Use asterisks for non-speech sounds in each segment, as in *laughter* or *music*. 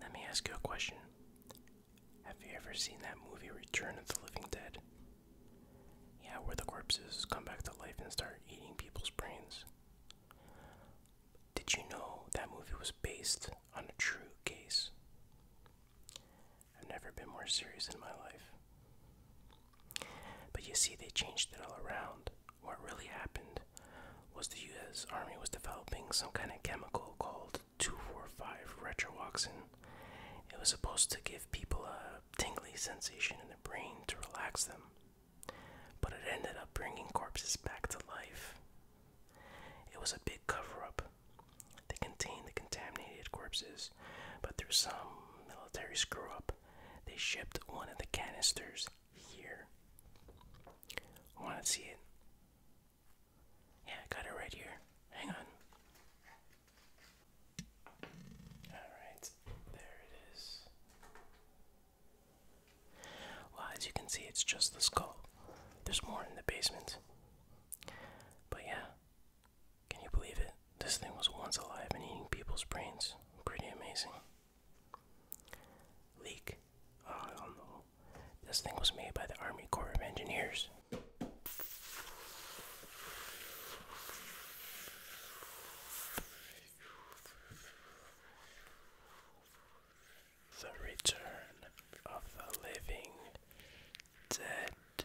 Let me ask you a question. Have you ever seen that movie Return of the Living Dead? Yeah, where the corpses come back to life and start eating people's brains. Did you know that movie was based on a true case? I've never been more serious in my life. But you see, they changed it all around. What really happened was the U.S. Army was developing some kind of chemical called 245 retroauxin. It was supposed to give people a tingling sensation in the brain to relax them, but it ended up bringing corpses back to life. It was a big cover up. They contained the contaminated corpses, but through some military screw up, they shipped one of the canisters here. Want to see it? Yeah, I got it right here. Hang on. Alright, there it is. Well, as you can see, it's just the skull. There's more in the basement. But yeah, can you believe it? This thing was once alive and eating people's brains. Pretty amazing. Leak. Oh, I don't know. This thing was made by the Army Corps of Engineers. The Return of the Living Dead.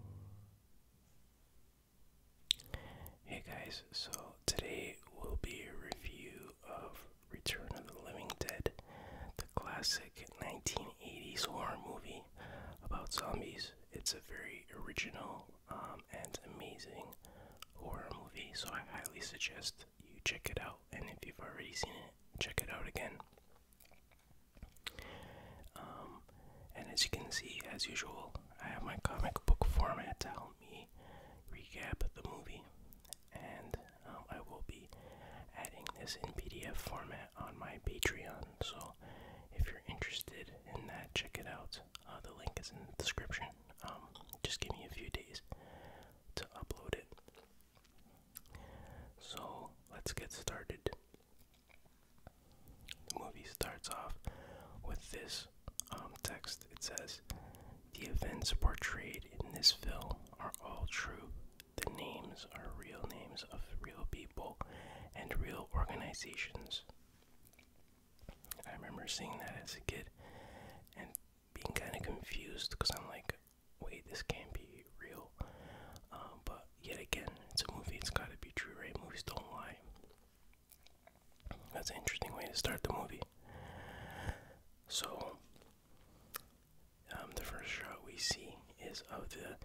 Hey guys, so today will be a review of Return of the Living Dead, the classic 1980s horror movie about zombies. It's a very original um, and amazing horror movie, so I highly suggest you check it out. And if you've already seen it, check it out again. Um, and as you can see, as usual, I have my comic book format to help me recap the movie, and um, I will be adding this in PDF format on my Patreon. So if you're interested in that, check it out. Uh, the link is in the description. Um, just give me a few days to upload it. So let's get started. The movie starts off with this um, text. It says, The events portrayed in this film are all true. The names are real names of real people and real organizations. I remember seeing that as a kid and being kind of confused because I'm like, wait, this can't be real. Um, but yet again, it's a movie, it's gotta be true, right? Movies don't lie. That's an interesting way to start the movie. So, um, the first shot we see is of the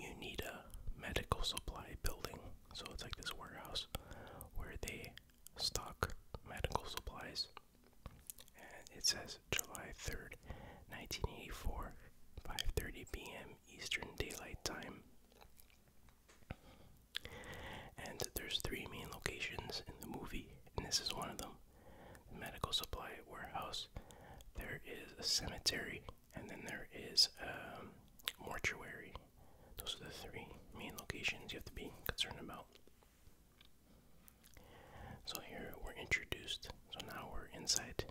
Unida Medical Supply Building. So, it's like this warehouse where they stock medical supplies. And it says July 3rd, 1984, 5:30 p.m. Eastern Daylight Time. And there's three main locations in the movie, and this is one of them. The medical supply warehouse. There is a cemetery, and then there is a um, mortuary. Those are the three main locations you have to be concerned about. So here we're introduced so now we're inside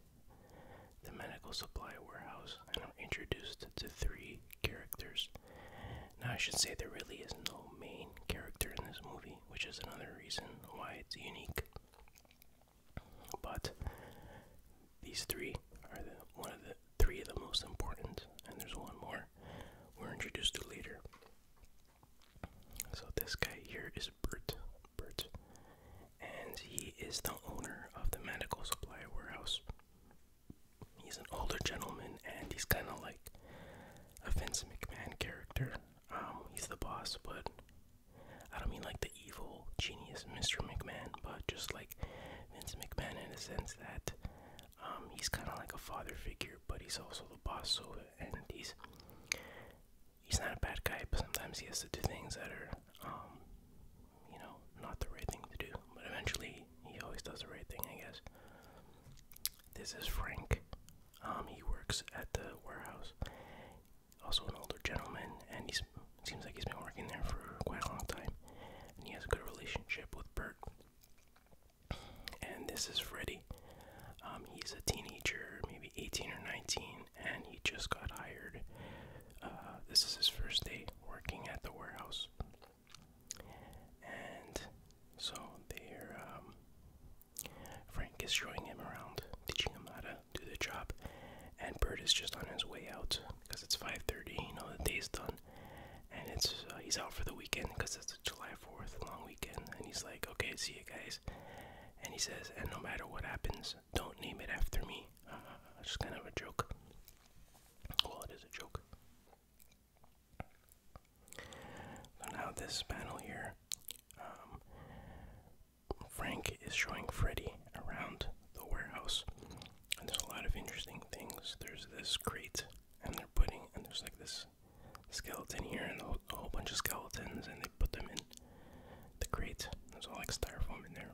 the medical supply warehouse and I'm introduced to three characters. Now, I should say there really is no main character in this movie, which is another reason why it's unique. But these three are the one of the three of the most important, and there's one more we're introduced to later. So this guy here is Bert. Bert, and he is the owner of the medical supply warehouse. He's an older gentleman, and he's kind of like a Vince McMahon character. Um, he's the boss, but I don't mean like the evil genius Mr. McMahon, but just like Vince McMahon in a sense that um, he's kind of like a father figure, but he's also the boss. So, and he's he's not a bad guy, but sometimes he has to do things that are, um, you know, not the right thing to do. But eventually, he always does the right thing, I guess. This is Frank. Um, he works at the warehouse. Also, an older gentleman, and he seems like he's been working there for quite a long time. And he has a good relationship with Bert. And this is Freddy. Um, he's a teenager, maybe 18 or 19, and he just got hired. Uh, this is his first day working at the warehouse. And so they um, Frank is showing him around, teaching him how to do the job, and Bert is just on his way out because it's 5:30. You know the day's done, and it's uh, he's out for the weekend because it's July 4th long weekend, and he's like, "Okay, see you guys." And he says, "And no matter what happens, don't name it after me. just *laughs* kind of a joke. Well, it is a joke. So now this panel here, um, Frank is showing Freddy around the warehouse, and there's a lot of interesting things. There's this crate, and they're putting, and there's like this skeleton here, and a whole bunch of skeletons, and put them in the crate. There's all like styrofoam in there.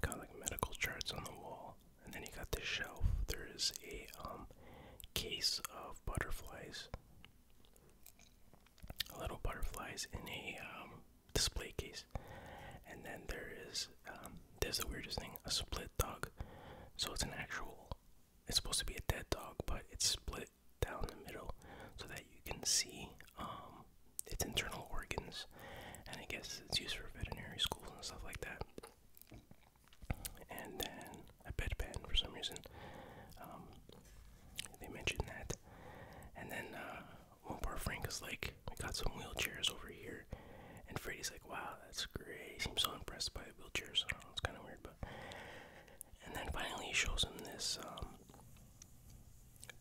Got like medical charts on the wall, and then you got this shelf. There is a um, case of butterflies, little butterflies in a um, display case, and then there is um, there's the weirdest thing: a split dog. So it's an actual. It's supposed to be a dead dog, but it's split down the middle so that you can see um, its internal organs. And I guess it's used for veterinary schools and stuff like that. And then a bedpan for some reason. Um, they mentioned that. And then uh, one part Frank is like, we got some wheelchairs over here. And Freddy's like, wow, that's great. He seems so impressed by the wheelchairs. I it's kind of weird, but. And then finally he shows him this um,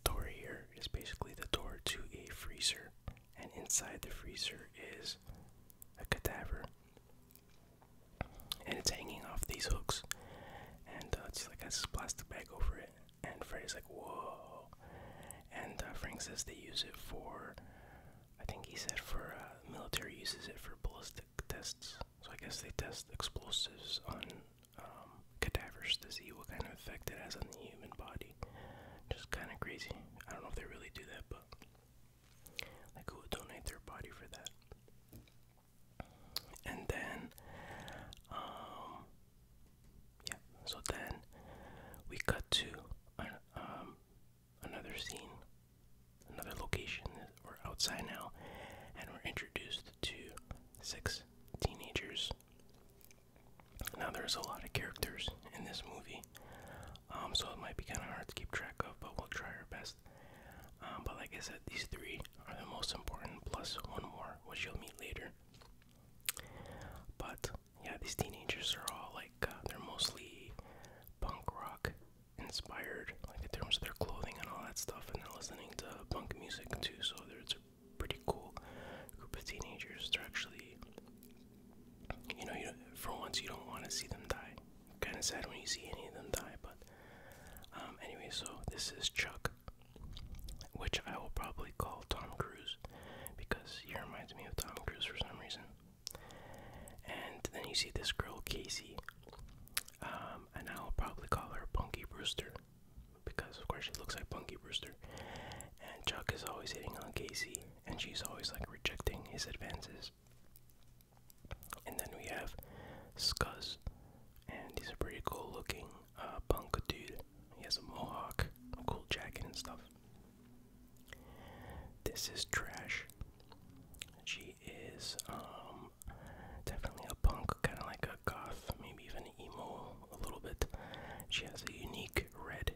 door here is basically the door to a freezer, and inside the freezer is a cadaver, and it's hanging off these hooks, and uh, it's like has this plastic bag over it. And Freddy's like, "Whoa!" And uh, Frank says they use it for, I think he said for uh, military uses it for ballistic tests. So I guess they test explosives on um, cadavers to see what kind of effect it has on the human body. Just kind of crazy. I don't know if they really do that, but like who would donate their body for that? And then, um, yeah. So then we cut to um, another scene, another location. We're outside now, and we're introduced to six teenagers. Now, there's a lot of characters in this movie, um, so it might be kind of hard to keep track of, but we'll try our best. Um, but like I said, these three are the most important, plus one more, which you'll meet later. But yeah, these teenagers are all like, uh, they're mostly punk rock inspired, like in terms of their clothing and all that stuff, and they're listening to punk music too, so it's pretty cool group of teenagers. They're actually, you know, for once you don't want to see them die. Kind of sad when you see any of them die, but um, anyway. So this is Chuck, which I will probably call Tom Cruise because he reminds me of Tom Cruise for some reason. And then you see this girl Casey, um, and I will probably call her Punky Brewster because of course she looks like Punky Brewster. And Chuck is always hitting on Casey, and she's always like rejecting his advances. And then we have Scuzz, and he's a pretty cool looking uh, punk dude. He has a mohawk, cool jacket, and stuff. This is Trash. She is um, definitely a punk, kind of like a goth, maybe even emo a little bit. She has a unique red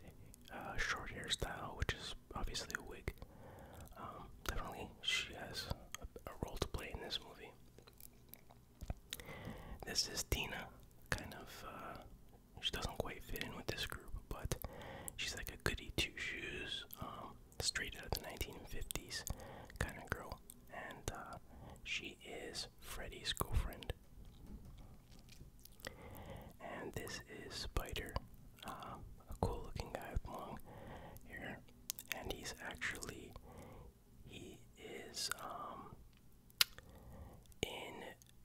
uh, short hairstyle, which is obviously a wig. Um, definitely, she has a, role to play in this movie. This is Dina. kind of. Uh, she doesn't quite fit in with this group, but she's like a goody two shoes, um, straight out of the 1950s kind of girl. And uh, she is Freddy's girlfriend. And this is Spider, um, a cool looking guy with long hair. And he's actually, he is um, in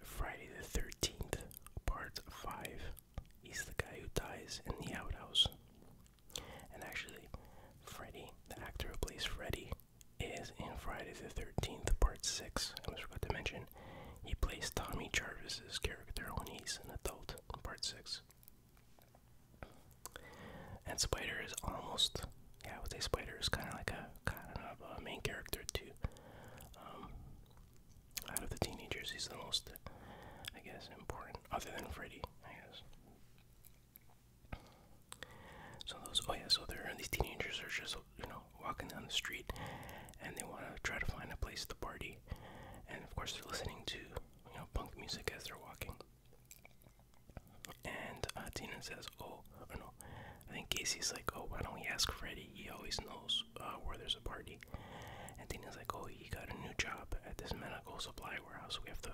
Friday the 13th, part 5. He's the guy who dies in the outhouse. And actually, Freddy, the actor who plays Freddy, is in Friday the 13th, part 6. I almost forgot to mention, he plays Tommy Jarvis's character when he's an adult, part 6. And Spider is almost, yeah, I would say Spider is kind of like a kind of a main character too. Um, out of the teenagers, he's the most, I guess, important, other than Freddy, I guess. So those, oh yeah, so there, these teenagers are just, you know, walking down the street, and they want to try to find a place to party, and of course they're listening to, you know, punk music as they're walking. And uh, Tina says, "Oh, or oh no," I think Casey's like, "Oh, why don't we ask Freddie? He always knows uh, where there's a party." And Tina's like, "Oh, he got a new job at this medical supply warehouse. We have to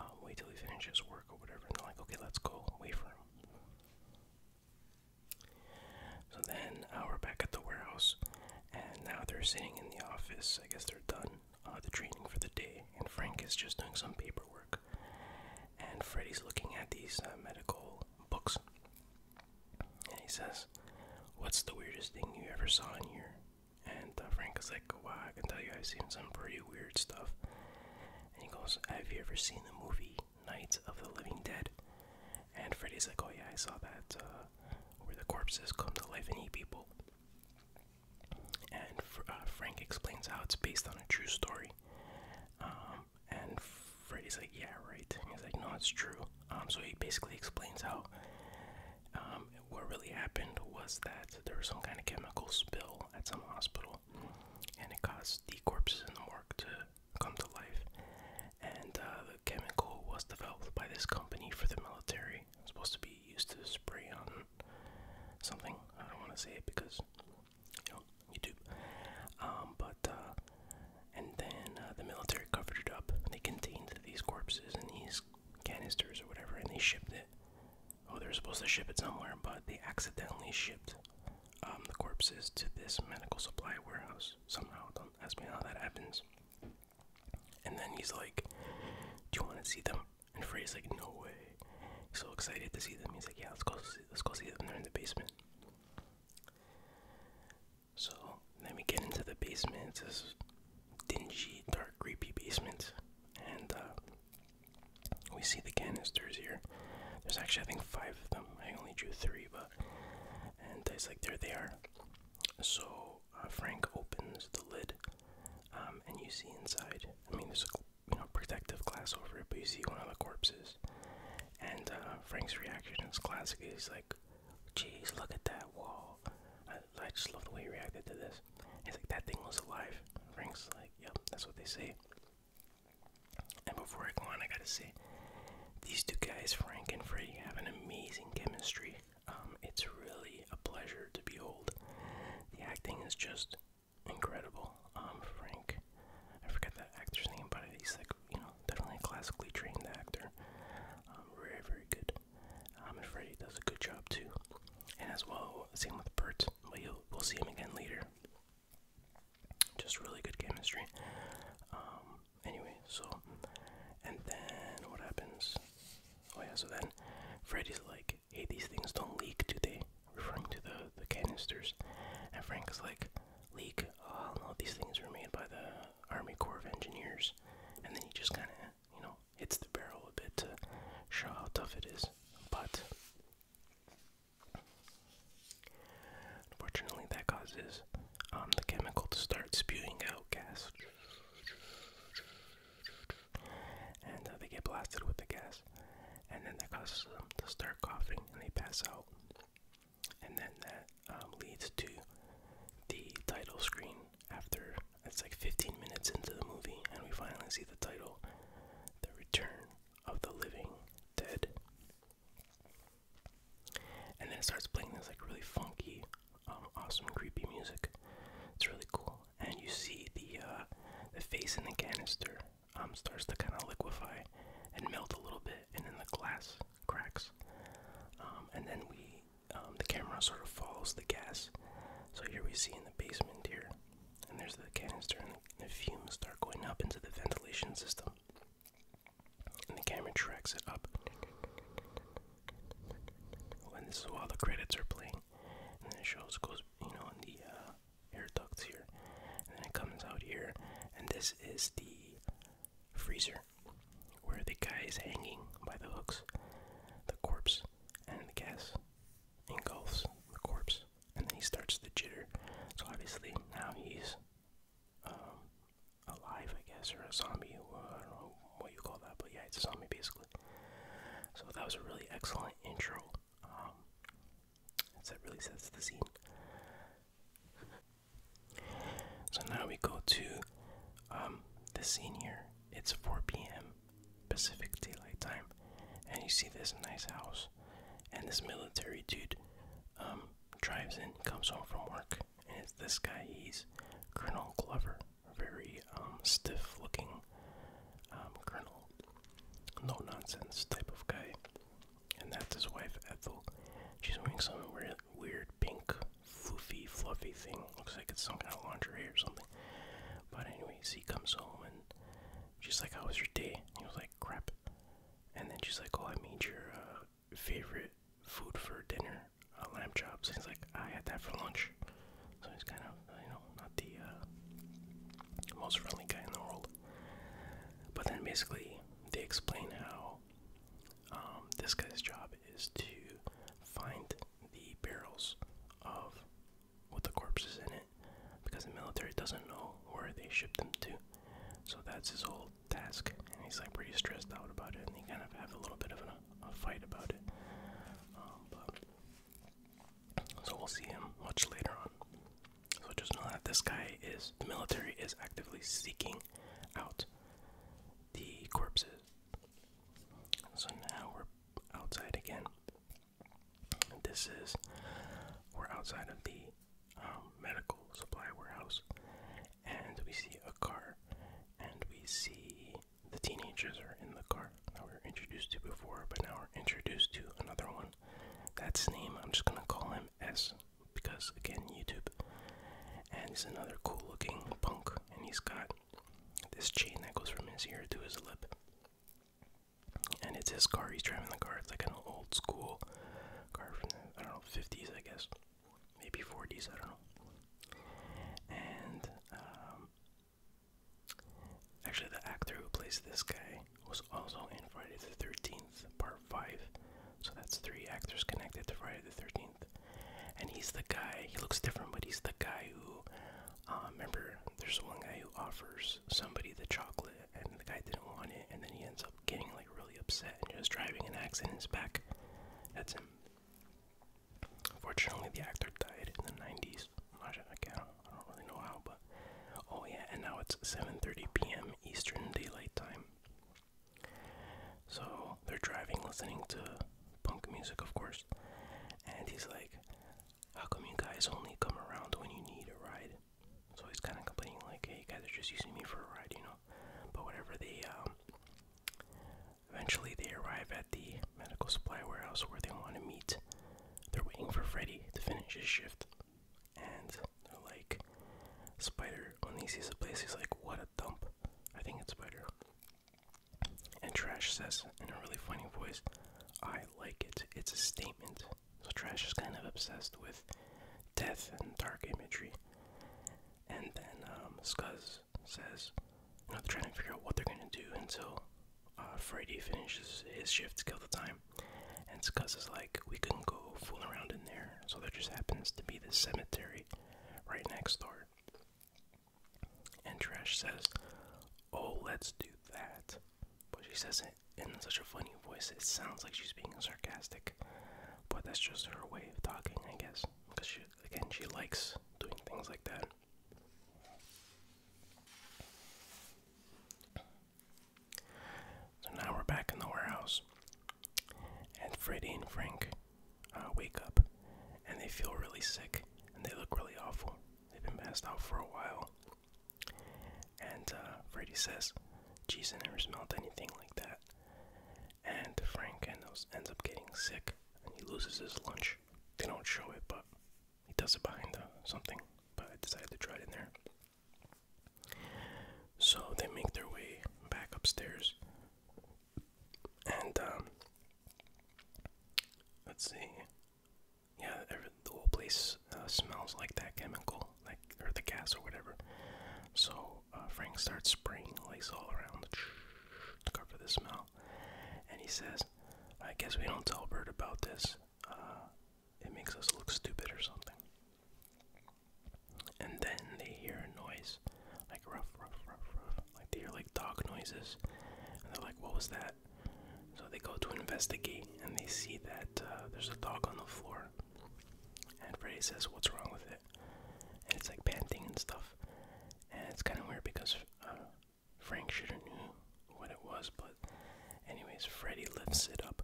um, wait till he finishes work or whatever, they're like, okay, let's go, wait for him. So then uh, we're back at the warehouse, and now they're sitting in the office. I guess they're done uh, the training for the day, and Frank is just doing some paperwork. And Freddy's looking at these uh, medical books, and he says, What's the weirdest thing you ever saw in here? And uh, Frank is like, Wow, I can tell you I've seen some pretty weird stuff. And he goes, Have you ever seen the movie Night of the Living Dead? And Freddy's like, Oh, yeah, I saw that, uh, where the corpses come to life and eat people. And uh, Frank explains how it's based on a true story. Um, and Freddy's like, Yeah, right. he's like, No, it's true. Um, so he basically explains how um, what really happened was that there was some kind of chemical spill at some hospital and it caused the corpses in the morgue to come to life. And uh, the chemical was developed by this company for the military. It was supposed to be used to spray on something. I don't want to say it because you know YouTube. Um, but uh, and then uh, the military covered it up. They contained these corpses in these canisters or whatever, and they shipped it Oh, they're supposed to ship it somewhere, but they accidentally shipped um, the corpses to this medical supply warehouse somehow. Don't ask me how that happens. And then he's like, "Do you want to see them?" And Frey's like, "No way." He's so excited to see them. He's like, "Yeah, let's go. See, let's go see them. They're in the basement." So then we get into the basement. It's this dingy, dark, creepy basement, and uh, we see the canisters here. There's actually, I think, five of them. I only drew three, but. And it's like, there they are. So uh, Frank opens the lid, um, and you see inside. I mean, there's a you know, protective glass over it, but you see one of the corpses. And uh, Frank's reaction is classic. He's like, Jeez, look at that wall. I just love the way he reacted to this. He's like, that thing was alive. Frank's like, yep, that's what they say. And before I go on, I gotta say, these two guys, Frank and Freddy, have an amazing chemistry. Um, it's really a pleasure to behold. The acting is just incredible. Um, Frank, I forget that actor's name, but he's like, you know, definitely a classically trained actor. Um, very, very good. Um, and Freddie does a good job too and as well, same with Bert. But you'll, we'll see him again later. Just really good chemistry. Um, anyway, so and then what happens? Oh yeah, so then Freddy's like, "Hey, these things don't leak, do they?" Referring to the the canisters, and Frank's like, "Leak? Oh no, these things were made by the Army Corps of Engineers." And then he just kind of, you know, hits the barrel a bit to show how tough it is. But Unfortunately, that causes um, the chemical to start spewing out gas, and uh, they get blasted with the gas, and then that causes them to start coughing, and they pass out, and then that um, leads to the title screen after it's like 15 minutes into the movie, and we finally see the title, the return of the living dead. And then it starts playing this like really funky, um, awesome, creepy music. It's really cool. And you see the uh, the face in the canister um, starts to kind of liquefy and melt a little bit, and then the glass cracks. Um, and then we, um, the camera sort of follows the gas. So here we see in the basement here and there's the canister, and the fumes start going up into the ventilation system. And the camera tracks it up. Oh, and this is while the credits are playing. And it shows, goes, you know, in the uh, air ducts here. And then it comes out here. And this is the freezer where the guy is hanging by the hooks. The corpse and the gas engulfs the corpse and then he starts to jitter. So obviously now he's um, alive, I guess, or a zombie. Uh, I don't know what you call that, but yeah, it's a zombie basically. So that was a really excellent intro. Um, that really sets the scene. So now we go to um, the scene here. It's 4 p.m. Pacific Daylight Time, and you see this nice house, and this military dude um, drives in, comes home from work, and it's this guy. He's Colonel Glover, very um, stiff-looking um, colonel, no nonsense type of guy, and that's his wife Ethel. She's wearing some weird, weird pink, floofy, fluffy thing. Looks like it's some kind of lingerie or something. But anyway, he comes home and She's like, How was your day? He was like, Crap. And then she's like, Oh, I made your uh, favorite food for dinner, a uh, lamb chop. And he's like, I had that for lunch. So he's kind of, you know, not the uh, most friendly guy in the world. But then basically, they explain how um, this guy's job is to find the barrels of with the corpses in it because the military doesn't know where they shipped them to. So that's his whole task, and he's like pretty stressed out about it, and they kind of have a little bit of a, fight about it. Um, but, so we'll see him much later on. So just know that this guy is the military is actively seeking out the corpses. So now we're outside again. This is we're outside of the um, medical supply warehouse, and we see a car, and we see the teenagers are in the car that we were introduced to before, but now we're introduced to another one. That's name. I'm just gonna call him S because again, YouTube. And he's another cool-looking punk, and he's got this chain that goes from his ear to his lip and it's his car. He's driving the car. It's like an old school car from the I don't know fifties, I guess, maybe forties. I don't know. And um, actually, the actor who plays this guy was also in Friday the Thirteenth Part Five. So that's three actors connected to Friday the Thirteenth. And he's the guy. He looks different, but he's the guy who. Uh, remember, there's one guy who offers somebody the chocolate and the guy didn't want it and then he ends up getting like really upset and just driving an axe in his back. That's him. Unfortunately, the actor died in the 90s. I don't really know how, but oh yeah, and now it's 7:30 p.m. Eastern Daylight Time. So they're driving, listening to punk music, of course, and he's like, how come you guys only come around when you need a ride? So he's kind of complaining, like, hey, you guys are just using me for a ride, you know? But whatever, they, um, eventually they arrive at the medical supply warehouse where they want to meet. They're waiting for Freddy to finish his shift. And they're like, Spider, when he sees the place, he's like, what a dump. I think it's Spider. And Trash says, in a really funny voice, I like it. It's a statement. So Trash is kind of obsessed with death and dark imagery. And then um, Scuzz says, you know, they're trying to figure out what they're going to do until uh, Freddy finishes his shift to kill the time. And Scuzz is like, we couldn't go fooling around in there. So there just happens to be the cemetery right next door. And Trash says, oh, let's do that. But she says it in such a funny voice, it sounds like she's being sarcastic. But that's just her way of talking, I guess. Because she, again, she likes doing things like that. So now we're back in the warehouse. And Freddie and Frank uh, wake up. And they feel really sick. And they look really awful. They've been passed out for a while. And uh, Freddy says, Geez, I never smelled anything like that. And Frank ends up getting sick and he loses his lunch. They don't show it, but he does it behind something. But I decided to try it in there. So they make their way back upstairs. And, um, let's see yeah, the whole place uh, smells like that chemical, like or the gas or whatever. So uh, Frank starts spraying like all around *sniffs* to cover the smell, and he says, "I guess we don't tell Bert about this. Uh, it makes us look stupid or something." And then they hear a noise, like rough, rough, rough, rough. Like they hear like dog noises, and they're like, "What was that?" So they go to investigate and they see that uh, there's a dog on the floor. And Freddy says, What's wrong with it? And it's like panting and stuff. And it's kind of weird because uh, Frank should have knew what it was, but anyways, Freddy lifts it up.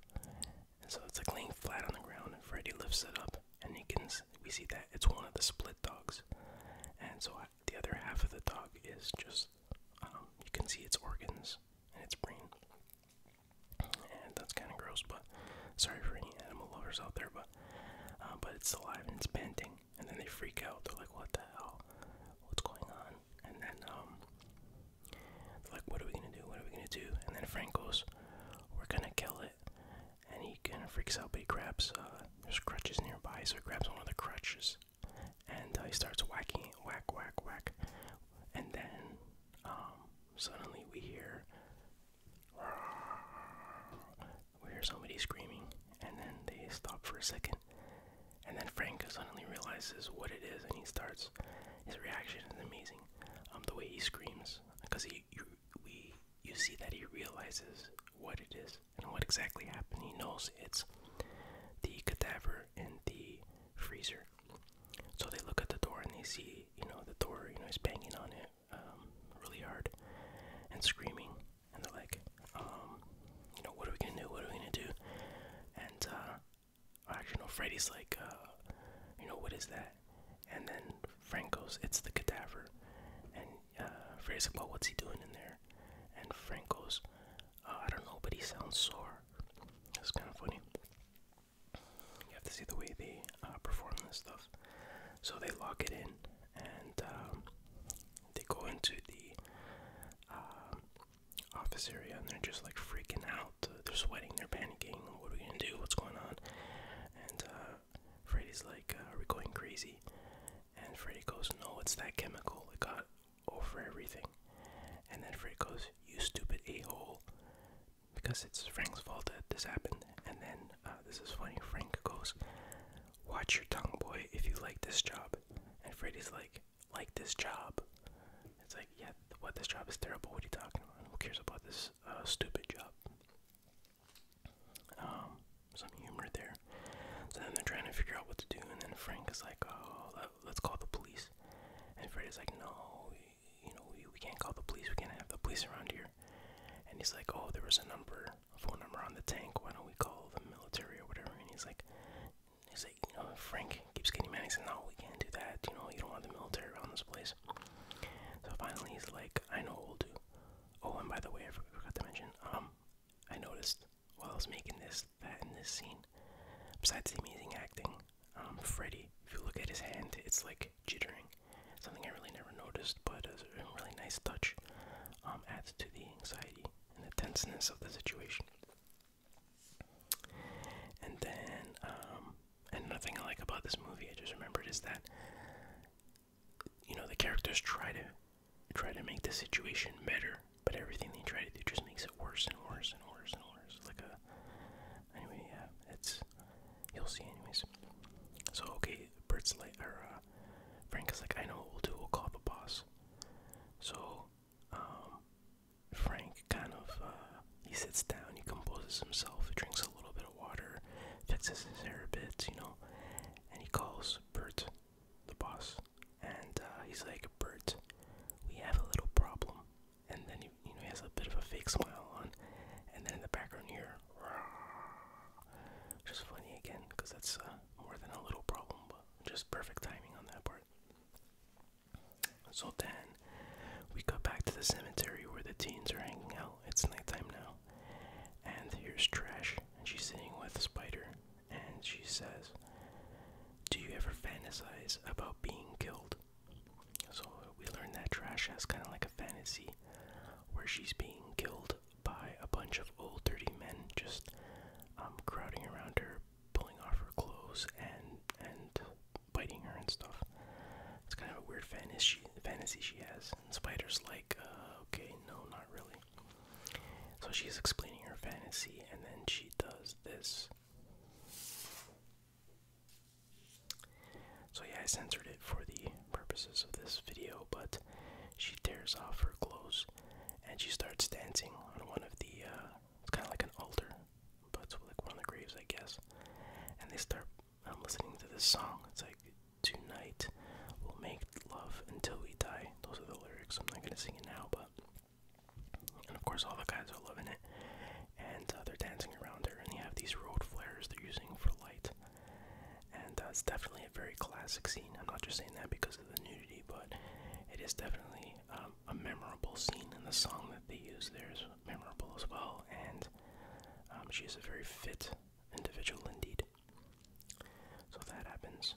And so it's like laying flat on the ground, and Freddy lifts it up, and you can we see that it's one of the split dogs. And so uh, the other half of the dog is just um, you can see its organs and its brain. And that's kind of gross, but sorry for any animal lovers out there, but uh, but it's alive and it's panting, and then they freak out. They're like, "What the hell? What's going on?" And then um, they're like, "What are we gonna do? What are we gonna do?" And then Frank goes, "We're gonna kill it." And he kind of freaks out, but he grabs. Uh, there's crutches nearby, so he grabs one of the crutches and uh, he starts whacking whack, whack, whack. And then um, suddenly we hear, we hear somebody screaming, and then they stop for a second. And then Frank suddenly realizes what it is, and he starts. His reaction is amazing. Um, the way he screams, because he, you, we, you see that he realizes what it is and what exactly happened. He knows it's the cadaver and the freezer. So they look at the door and they see, you know, the door, you know, is banging on it um, really hard and screaming. And they're like, um, you know, what are we gonna do? What are we gonna do? And uh, actually, no, Freddy's like, uh, you know, what is that? And then Frank goes, it's the cadaver. And uh, Freddy's like, well, what's he doing in there? And Frank goes, Oh, I don't know, but he sounds sore. It's kind of funny. You have to see the way they uh, perform this stuff. So they lock it in, and um, they go into the uh, office area, and they're just like freaking out. They're sweating, they're panicking. What are we gonna do? What's going on? And uh, Freddy's like, "Are we going crazy?" And Freddy goes, "No, it's that chemical. It got over everything. And then Freddy goes, You stupid a hole. Because it's Frank's fault that this happened. And then, uh, this is funny, Frank goes, Watch your tongue, boy, if you like this job. And Freddy's like, Like this job. It's like, Yeah, what this job is terrible. What are you talking about? Who cares about this uh, stupid job? Um, some humor there. So then they're trying to figure out what to do, and then Frank is like, Oh, let's call the police. And Freddy's like, no, you know, we, can't call the police. We can't have the police around here. And he's like, oh, there was a number, a phone number on the tank. Why don't we call the military or whatever? And he's like, he's like, you know, Frank keeps getting mad. He said, no, we can't do that. You know, you don't want the military around this place. So finally, he's like, I know what we'll do. Oh, and by the way, I forgot to mention, um, I noticed while Whilst making this, that, and this scene. Besides the amazing acting, um, Freddy, if you look at his hand, it's like jittering. Something I really never noticed, but a really nice touch. Um, adds to the anxiety and the tenseness of the situation. And then, um, and another thing I like about this movie, I just remembered, is that you know the characters try to try to make the situation better but everything they try to do just makes it worse and worse and worse and worse. Like a anyway, yeah, it's you'll see anyways. So okay, Bert's like or uh, Frank is like, I know what we'll do. We'll call the boss. So um, Frank kind of uh, he sits down, he composes himself, drinks a little bit of water, fixes his hair a bit, you know, and he calls Bert the boss and uh, he's like, Bert, we have a little problem. And then you know, he has a bit of a fake smile on, and then in the background here, just funny again, because that's uh, more than a little problem, but just perfect timing on that part. So then, we go back to the cemetery where the teens are hanging out. It's nighttime now, and here's Trash, and she's sitting with Spider, and she says, Do you ever fantasize about being killed? So we learn that Trash has kind of like a fantasy where she's being killed by a bunch of old dirty men just um, crowding around her, pulling off her clothes and and biting her and stuff. It's kind of a weird fantasy fantasy she has. And Spider's like, uh, okay, no, not really. So she's explaining her fantasy, and then she does this. So, yeah, I censored it for the purposes of this video, but she tears off her clothes and she starts dancing on one of the, uh, it's kind of like an altar, but it's like one of the graves, I guess. And they start um, listening to this song. It's like, Tonight we'll make love until we die. Those are the lyrics. I'm not going to sing it now, but and of course, all the guys are loving it. And uh, they're dancing around her, and they have these road flares they're using for light. And that's uh, definitely a very classic scene. I'm not just saying that because of the nudity, but it is definitely um, a memorable scene, and the song that they use there is memorable as well. And um, she is a very fit individual indeed. So that happens.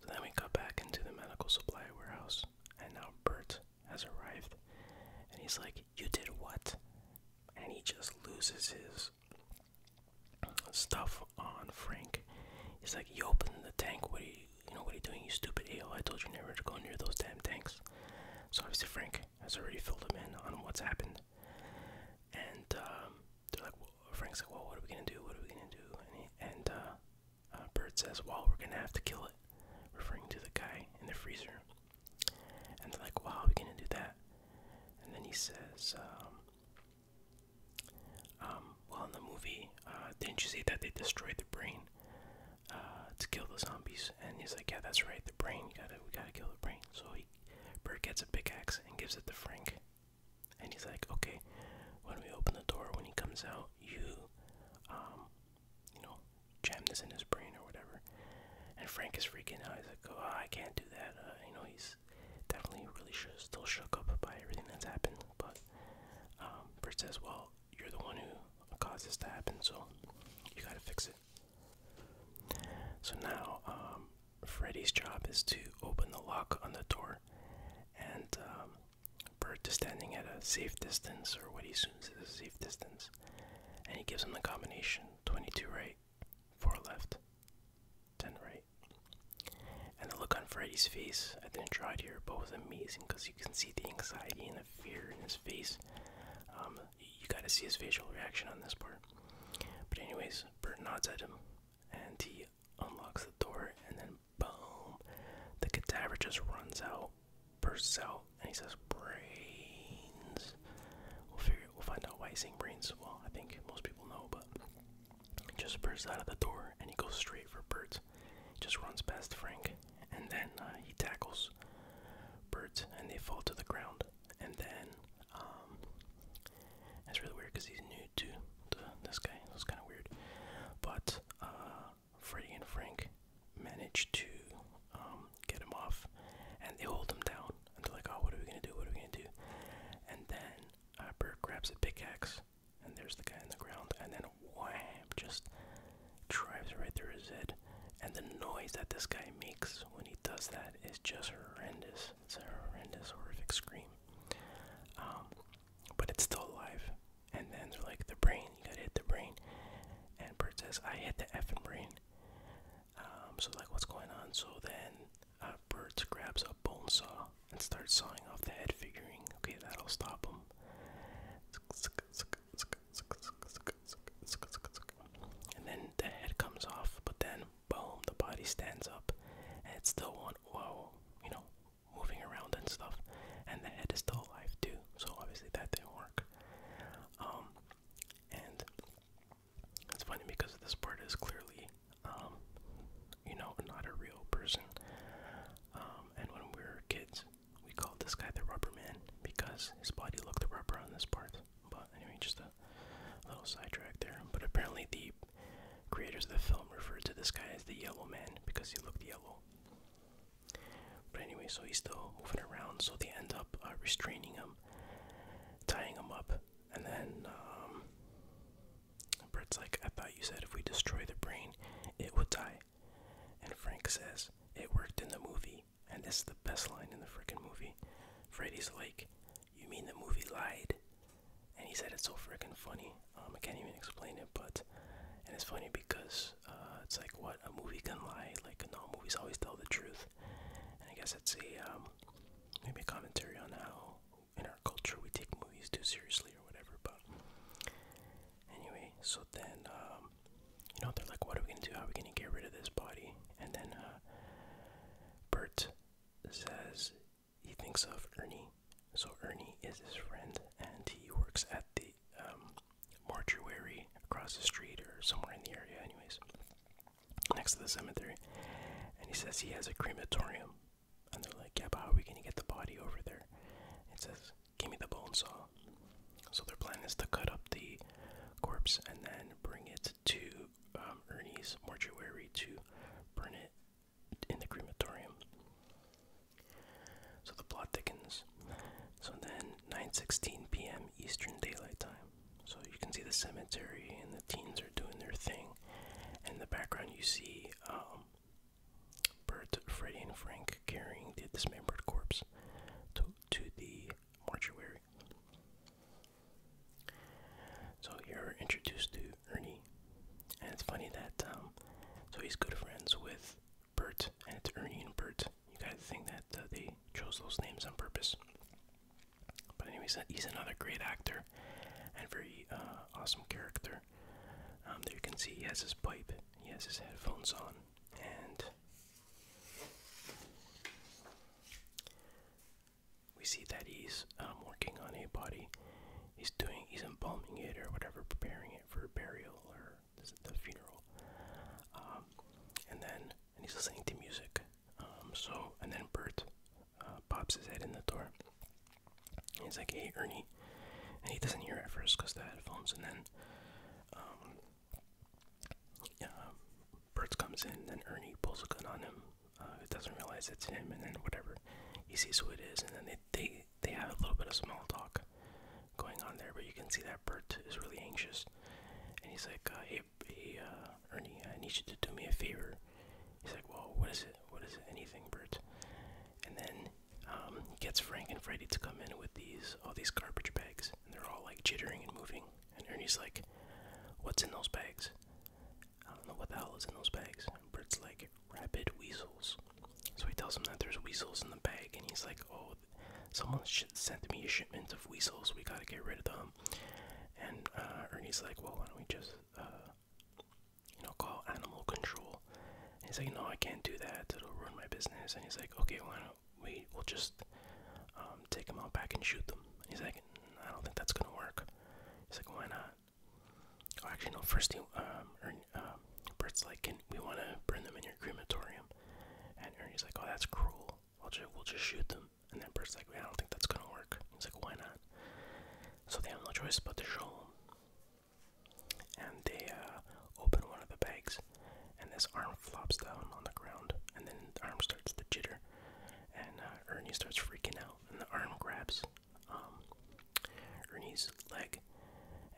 So then we cut back into the medical supply warehouse, and now Bert has arrived, and he's like, You did what? And he just loses his stuff on Frank. He's like, You opened the tank, what are you you know what are you doing, you stupid eel? I told you never to go near those damn tanks. So obviously Frank has already filled him in on what's happened. And um, they're like, Frank's like, well, what are we gonna do? What are we gonna do? And, he, uh, uh, says, well, we're gonna have to kill it, referring to the guy in the freezer. And they're like, well, how are we gonna do that? And then he says, um, um, well, in the movie, uh, didn't you see that they destroyed the brain to kill the zombies? And he's like, yeah, that's right, the brain. You gotta, we gotta kill the brain. So he Bert gets a pickaxe and gives it to Frank. And he's like, okay, when we open the door, when he comes out, you, um, you know, jam this in his brain or whatever. And Frank is freaking out. He's like, oh, I can't do that. Uh, you know, he's definitely really sh still shook up by everything that's happened. But um, Bert says, well, you're the one who caused this to happen, so you gotta fix it. So now, um, Freddy's job is to open the lock on the door, and um, Bert is standing at a safe distance, or what he assumes is a safe distance, and he gives him the combination 22 right, 4 left, 10 right. And the look on Freddy's face, I didn't try it here, but was amazing because you can see the anxiety and the fear in his face. Um, you gotta see his facial reaction on this part. But anyways, Bert nods at him, and he unlocks the door, and then boom, the cadaver just runs out, bursts out, and he says, "Brains." We'll figure. We'll find out why he's saying brains. Well, I think most people know, but just bursts out of the door, and he goes straight for Bert. Just runs past Frank, and then uh, he tackles Bert, and they fall to the ground and then um, really weird because he's new to this guy. So kind of weird, but uh, Freddie and Frank manage to um, get him off, and they hold him down. And they're like, "Oh, what are we gonna do? What are we gonna do?" And then uh, grabs a pickaxe, and there's the guy in the ground, and then wham, just drives right through his head. And the noise that this guy makes when he does that is just horrendous. It's a horrendous, horrific scream. Um, but it's still alive. And then they're like, the brain, you gotta hit the brain. And Bert says, I hit the effing brain. Um, so, like, what's going on? So then uh, Bert grabs a bone saw and starts sawing off the head, figuring, okay, that'll stop him. And then the head comes off, but then boom, the body stands up, and it's still on. whoa, you know, moving around and stuff, and the head is still alive too. So obviously that didn't work. Um, and it's funny because this part is clearly, um, you know, not a real person. Um, and when we were kids, we called this guy the Rubber Man because his body looked rubber on this part. But anyway, just a a little sidetrack there. But apparently, the creators of the film referred to this guy as the Yellow Man because he looked yellow. But anyway, so he's still moving around, so they end up uh, restraining him, tying him up, and then um, Brett's like, I thought you said if we destroy the brain, it would die. And Frank says, It worked in the movie, and this is the best line in the freaking movie. Freddy's like, you mean the movie lied? And he said it's so freaking funny. Um, I can't even explain it, but and it's funny because uh, it's like what a movie can lie. Like no movies always tell the truth. And I guess it's a um, maybe a commentary on how in our culture we take movies too seriously or whatever. But anyway, so then um, you know they're like, what are we gonna do? How are we gonna get rid of this body? And then uh, Bert says he thinks of Ernie. So Ernie is his friend, and he works at the um, mortuary across the street or somewhere in the area, anyways, next to the cemetery. And he says he has a crematorium. And they're like, yeah, but how are we going to get the body over there? It says, give me the bone saw. So their plan is to cut up the corpse and then bring it to um, Ernie's mortuary to burn it in the crematorium. So the plot thickens. So then 9:16 p.m. Eastern Daylight Time. So you can see the cemetery and the teens are doing their thing. And the background you see um, Bert, Freddie, and Frank carrying the dismembered corpse to to the mortuary. So you're introduced to Ernie, and it's funny that um, so he's good friends with Bert, and it's Ernie and Bert. You gotta think that uh, they chose those names on purpose. But anyways, he's another great actor and very uh, awesome character. Um, there you can see he has his pipe, he has his headphones on, and we see that he's um, working on a body. He's doing, he's embalming it or whatever, preparing it for burial or the funeral. Um, and then, he's listening to music. Um, so, and then Bert uh, pops his head in the door. And he's like, "Hey, Ernie," and he doesn't hear at first because the headphones. And then, yeah, Bert comes in, and Ernie pulls a gun on him. It uh, doesn't realize it's him, and then whatever he sees who it is, and then they they they have a little bit of small talk going on there. But you can see that Bert is really anxious, and he's like, uh, uh, Ernie, I need you to do me a favor." He's like, "Well, what is it? What is it? Anything, Bert?" And then um, he gets Frank and Freddy to come in with these all these garbage bags, and they're all like jittering and moving. And Ernie's like, "What's in those bags?" I don't know what the hell is in those bags. And Bert's like, rabid weasels. So he tells him that there's weasels in the bag, and he's like, oh, someone sent me a shipment of weasels. We gotta get rid of them. And uh, Ernie's like, well, why don't we just, uh, you know, call animal control? And he's like, no, I can't do that. It'll ruin my business. And he's like, okay, why don't we? We'll just um, take them out back and shoot them. And he's like, I don't think that's gonna work. He's like, why not? Oh, actually, no. First, he, um, Ernie, um, Bert's like, can we want to burn them in your crematorium? And Ernie's like, oh, that's cruel. We'll just, we'll just shoot them. And then Bert's like, I don't think that's gonna work. He's like, why not? So they have no choice but to show him. And they uh, open one of the bags, and this arm flops down on the ground, and then the arm starts to jitter and uh, Ernie starts freaking out, and the arm grabs um, Ernie's leg,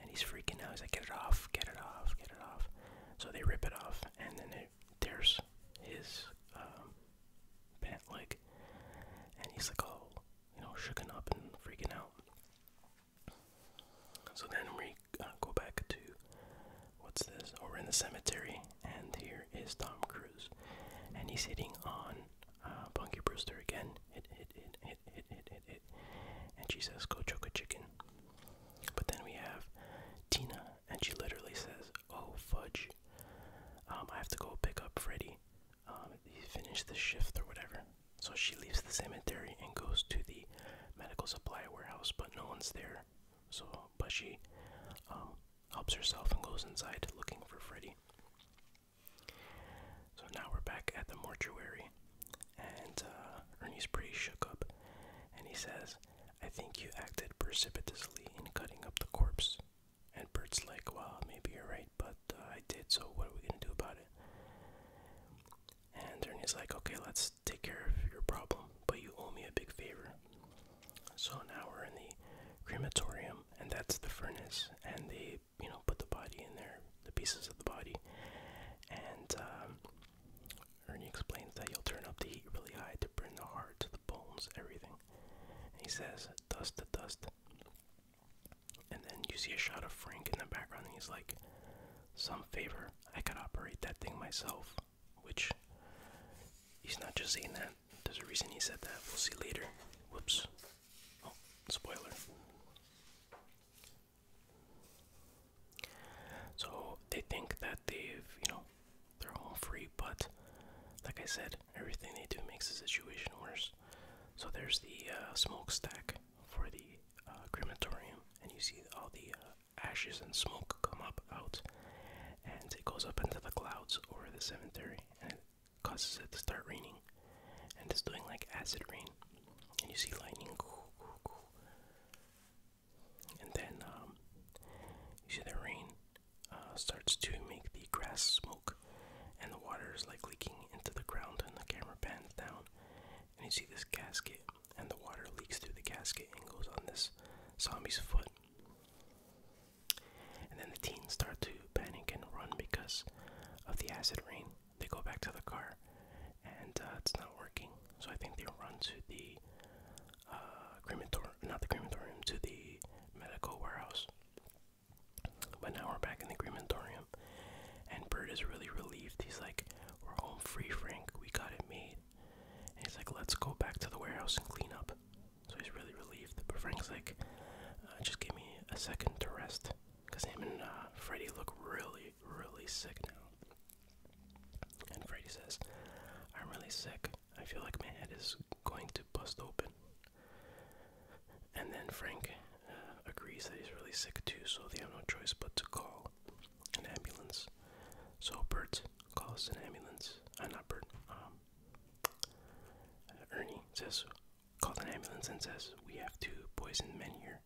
and he's freaking out. He's like, "Get it off! Get it off! Get it off!" So they rip it off, and then it tears his um, pant leg, and he's like, "Oh, you know, shooken up and freaking out." So then we uh, go back to what's this? Oh, we're in the cemetery, and here is Tom Cruise, and he's hitting on uh, Punky Brewster again. Hit, hit, hit, hit, hit, hit, hit, hit, and she says, "Go choke a chicken." But then we have Tina, and she literally says, "Oh fudge, um, I have to go pick up Freddy. Um, he finished the shift or whatever." So she leaves the cemetery and goes to the medical supply warehouse, but no one's there. So, but she um, helps herself and goes inside looking for Freddy. So now we're back at the mortuary, and uh, Ernie's pretty shook up, and he says, I think you acted precipitously in cutting up the corpse. And Bert's like, well, maybe you're right, but uh, I did, so what are we gonna do about it? And Ernie's like, okay, let's take care of your problem, but you owe me a big favor. So now we're in the crematorium, and that's the furnace, and they, you know, put the body in there, the pieces of the body, and um, Ernie explains that he will turn up the heat really high to burn the heart to the bones, everything. he says, dust to dust. And then you see a shot of Frank in the background, and he's like, Some favor, I could operate that thing myself which he's not just saying that. There's a reason he said that. We'll see later. Whoops. Oh, spoiler. So they think that they've, you know, they're all free, but like I said, everything they do makes the situation worse. So there's the uh, smokestack for the uh, crematorium, and you see all the uh, ashes and smoke come up out, and it goes up into the clouds over the cemetery and it causes it to start raining and it's doing like acid rain and you see lightning and then um, you see the rain uh, starts to make the grass smoke and the water is like leaking into the ground and the camera pans down and you see this casket and the water leaks through the casket and goes on this zombie's foot and then the teens start to panic and run because of the acid rain. They go back to the car and uh, it's not working. So I think they run to the uh, crematorium, not the crematorium, to the medical warehouse. But now we're back in the crematorium and Bird is really relieved. He's like, We're home free, Frank. We got it made. he's like, Let's go back to the warehouse and clean up so he's really relieved. But Frank's like, uh, just give me a second to rest, cause him and uh, Freddy look really, really sick now. And Freddy says, I'm really sick. I feel like my head is going to bust open. And then Frank uh, agrees that he's really sick too, so they have no choice but to call an ambulance. So Bert calls an ambulance. Uh, not Bert. Um, Ernie says, "Call an ambulance and says, we have two poisoned men here.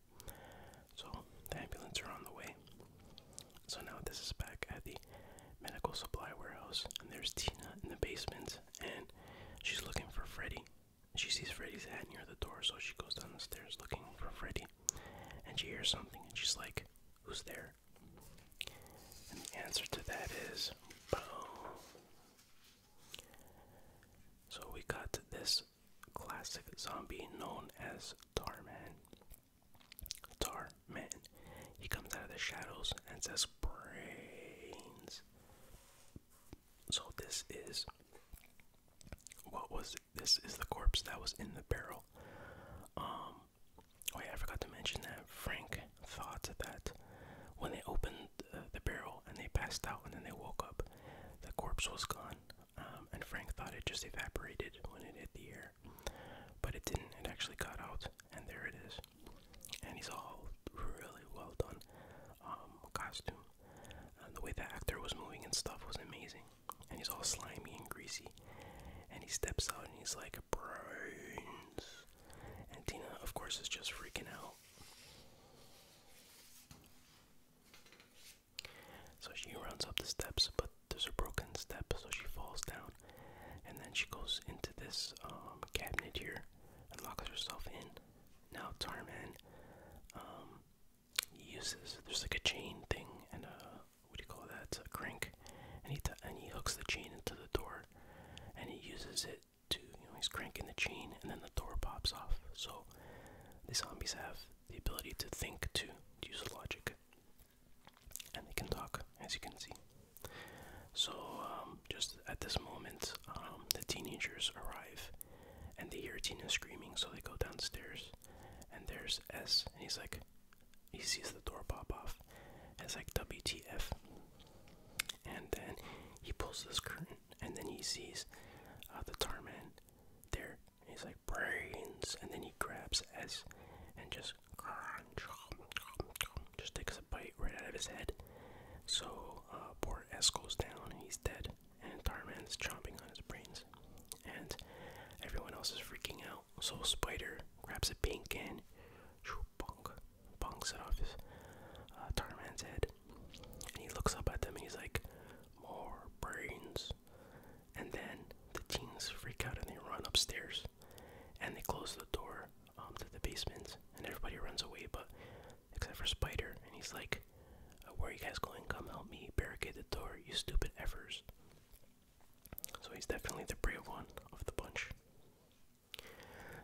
So the ambulance are on the way. So now this is back at the medical supply warehouse, and there's Tina in the basement, and she's looking for Freddy. She sees Freddy's head near the door, so she goes down the stairs looking for Freddy, and she hears something, and she's like, "Who's there?" And the answer to that is So we got this classic zombie known as Tar Man. Tar Man. He comes out of the shadows and says brains. So this is what was this is the corpse that was in the barrel. Um, oh yeah, I forgot to mention that Frank thought that when they opened the barrel and they passed out and then they woke up, the corpse was gone. Um, and Frank thought it just evaporated when it hit the air, but it didn't. It actually got out, and there it is. And he's all really well done um, costume. And the way the actor was moving and stuff was amazing. And he's all slimy and greasy. And he steps out and he's like, brains. And Tina, of course, is just freaking out. So she runs up the steps, but there's a broken step, so she falls down. And then she goes into this um, cabinet here and locks herself in. Now, Tarman um, uses there's like a chain thing and a what do you call that? a crank, and he and he hooks the chain into the door, and he uses it to, you know, he's cranking the chain and then the door pops off. So the zombies have the ability to think too, to use logic, and they can talk, as you can see. So um, just at this moment, um, the teenagers arrive, and they hear Tina screaming, so they go downstairs, and there's S, and he's like, he sees the door pop off. It's like WTF. And then he pulls this curtain, and then he sees uh, the tar man there. He's like brains, and then he grabs S and just just takes a bite right out of his head. So uh, poor S goes down, and he's dead. And Tarman is chomping on his brains, and everyone else is freaking out. So Spider grabs a paint can, bonk, bonks it off his uh, man's head. And he looks up at them and he's like, more brains. And then the teens freak out and they run upstairs and they close the door um, to the basement and everybody runs away, but except for Spider. And he's like, uh, where are you guys going? Come help me barricade the door, you stupid effers. So he's definitely the brave one of the bunch.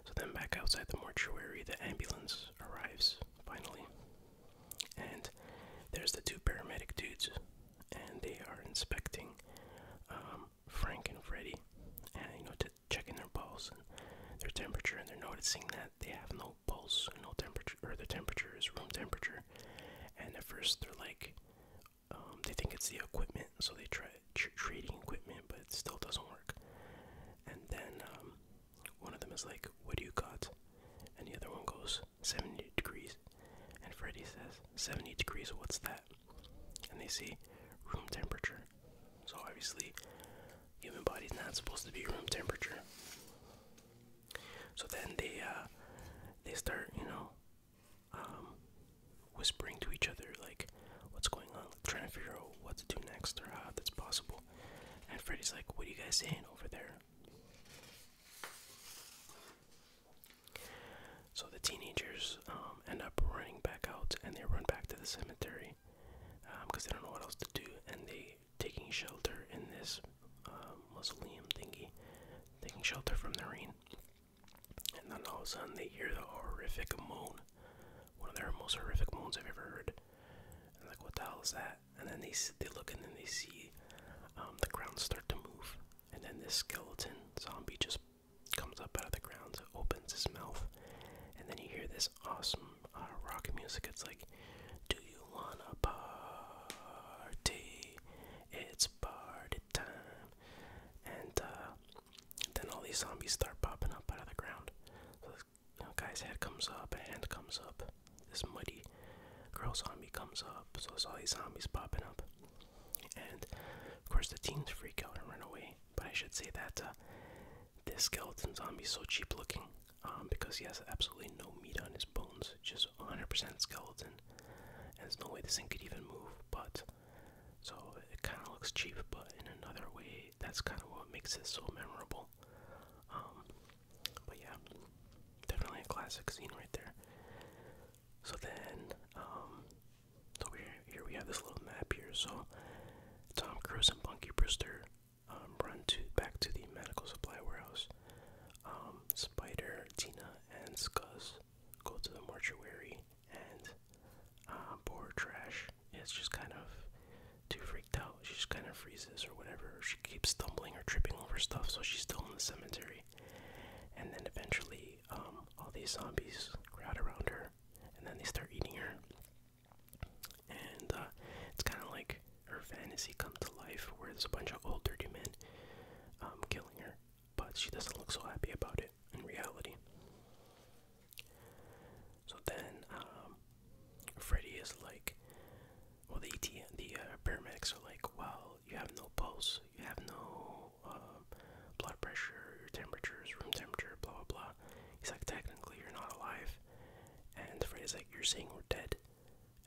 So then, back outside the mortuary, the ambulance arrives finally. And there's the two paramedic dudes, and they are inspecting um, Frank and Freddy, and you know, to checking their pulse and their temperature, and they're noticing that they have no pulse, no temperature, or their temperature is room temperature. And at first, they're like, um, they think it's the equipment, so they try trading equipment, but it still doesn't work. And then um, one of them is like, "What do you got?" And the other one goes, "70 degrees." And Freddy says, "70 degrees? What's that?" And they see "Room temperature." So obviously, human body's not supposed to be room temperature. So then they uh, they start, you know, um, whispering to each other like what's going on, trying to figure out what to do next or how that's possible. And Freddy's like, "What are you guys saying over there?" So the teenagers um, end up running back out, and they run back to the cemetery because um, they don't know what else to do, and they taking shelter in this mausoleum thingy, taking shelter from the rain. And then all of a sudden they hear the horrific moan. One of their most horrific moans I've ever heard. And like, what the hell is that? And then they they look and then they see um, the ground start to move. And then this skeleton zombie just comes up out of the ground, opens his mouth, and then you hear this awesome uh, rock music. It's like, do you wanna party? It's party time. And uh, then all these zombies start popping up out of the ground. So this guy's head comes up, a hand comes up, this muddy girl zombie comes up, so there's all these zombies popping up. And of course the team's freak out and run away. But I should say that uh, this skeleton zombie's so cheap looking um, because he has absolutely no meat on his bones, just 100% skeleton. there's no way this thing could even move, but so it kind of looks cheap, but in another way, that's kind of what makes it so memorable. Um, but yeah, definitely a classic scene right there. So then, um, so here, we have this little map here. So Tom Cruise and Bunky Brewster um, run to back to the medical supply warehouse. Spider, Tina, and Scuzz go to the mortuary and uh, pour trash. It's just kind of too freaked out. She just kind of freezes or whatever. She keeps stumbling or tripping over stuff, so she's still in the cemetery. And then eventually, um, all these zombies crowd around her, and then they start eating her. And uh, it's kind of like her fantasy come to life, where there's a bunch of old dirty men um, killing her but she doesn't look so happy about it in reality. So then, um, Freddy is like, well, the ET, the uh, paramedics are like, well, you have no pulse, you have no um, blood pressure, your temperature is room temperature, blah blah blah. He's like, technically, you're not alive, and Freddy's like, you're saying we're dead,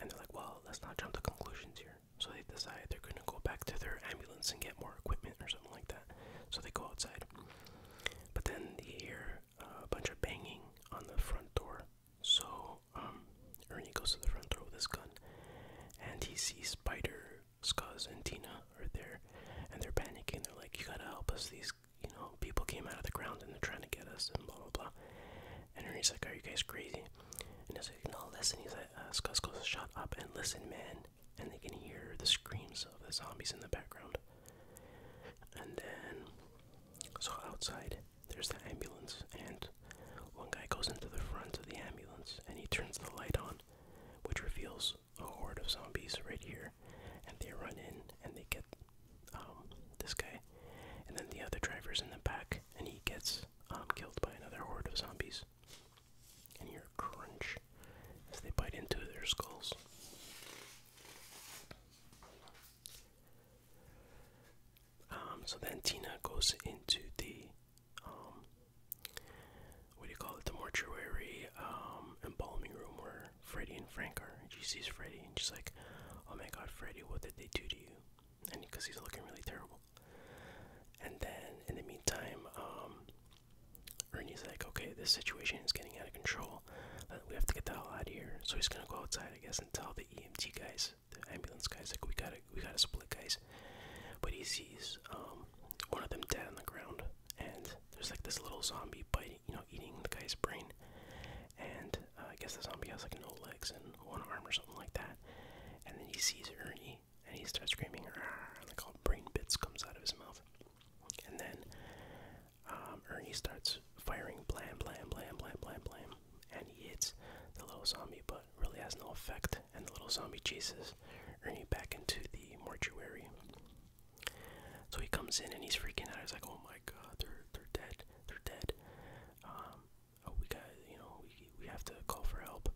and they're like, well, let's not jump to conclusions here. So they decide they're gonna go back to their ambulance and get more equipment or something like that. So they go outside. But then they hear a bunch of banging on the front door. So um, Ernie goes to the front door with his gun, and he sees Spider, Scuzz, and Tina are there, and they're panicking. They're like, "You gotta help us! These, you know, people came out of the ground and they're trying to get us." And blah blah blah. And Ernie's like, "Are you guys crazy?" And he's like, "No, listen." He's like, uh, "Scuzz goes, shut up and listen, man." and they can hear the screams of the zombies in the background. And then, so outside, there's the ambulance, and one guy goes into the front of the ambulance and he turns the light on, which reveals a horde of zombies right here. And they run in and they get um, this guy, and then the other driver's in the back and he gets um, killed by another horde of zombies and hear a crunch as they bite into their skulls. Um, so then Tina goes into the, um, what do you call it, the mortuary um, embalming room where Freddy and Frank are. She sees Freddy and she's like, oh my god, Freddy, what did they do to you? And because he's looking really terrible. And then in the meantime, um, Ernie's like, okay, this situation is getting out of control. Uh, we have to get that hell out of here. So he's gonna go outside, I guess, and tell the EMT guys, the ambulance guys, like we gotta, we gotta split, guys. But he sees um, one of them dead on the ground, and there's like this little zombie biting, you know, eating the guy's brain. And uh, I guess the zombie has like no legs and one arm or something like that. And then he sees Ernie and he starts screaming, and like all brain bits comes out of his mouth. And then um, Ernie starts firing blam, blam, blam, blam, blam, blam, and he hits the little zombie, but really has no effect. And the little zombie chases Ernie back into the mortuary. So he comes in and he's freaking out. He's like, "Oh my God, they're they're dead, they're dead." Um, oh, we got you know we we have to call for help.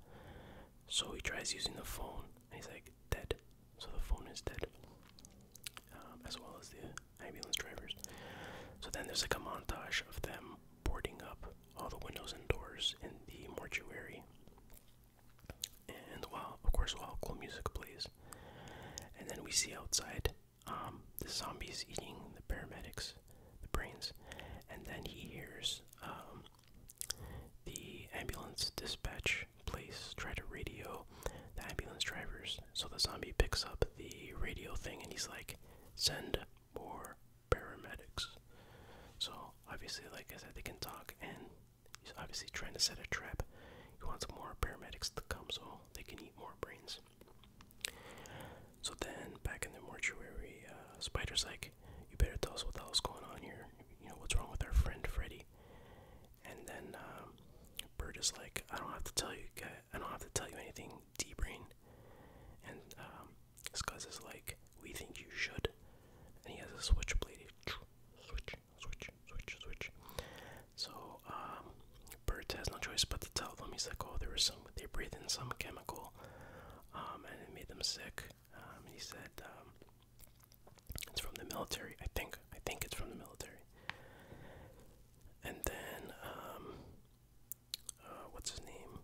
So he tries using the phone, he's like, dead. So the phone is dead. Um, as well as the ambulance drivers. So then there's like a montage of them boarding up all the windows and doors in the mortuary. And while, of course, while cool music plays. And then we see outside um, the zombies eating the paramedics, the brains. And then he hears um, the ambulance dispatch place try to radio the ambulance drivers. So the zombie picks up the radio thing and he's like, send more paramedics. So obviously, like I said, they can talk and he's obviously trying to set a trap. He wants more paramedics to come so they can eat more brains. So then, back in the mortuary, uh, Spider's like, you better tell us what the hell's going on here. You know, what's wrong with our friend Freddy? And then um, Bird is like, I don't have to tell you, I don't have to tell you anything, D-Brain. And um, Scuzz is like, we think you should. And he has a switchblade. Switch, switch, switch, switch. So um, Bird has no choice but to tell them. He's like, oh, there was some, they breathed in some chemical, um, and it made them sick. Um, and he said, um, it's from the military, I think. I think it's from the military. And then, um, uh, what's his name?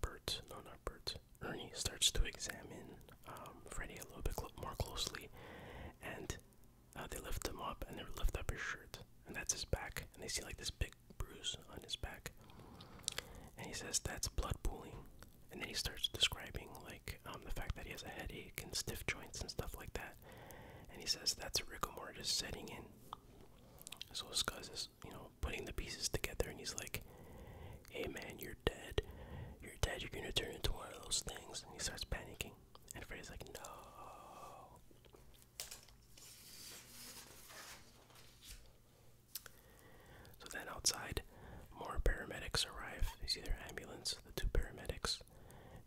Bert, no, not Bert. Ernie starts to examine um, Freddy a little bit more closely, and uh, they lift him up, and they lift up his shirt, and that's his back, and they see like this big bruise on his back, and he says that's blood pooling, and then he starts describing like um, the fact that he has a headache and stiff joints and stuff like that. And he says that's rigor mortis setting in. So this guy's, you know, putting the pieces together, and he's like, "Hey man, you're dead. You're dead. You're gonna turn into one of those things." And he starts panicking, and Freddy's like, "No." So then outside, more paramedics arrive. You see their ambulance, the two paramedics,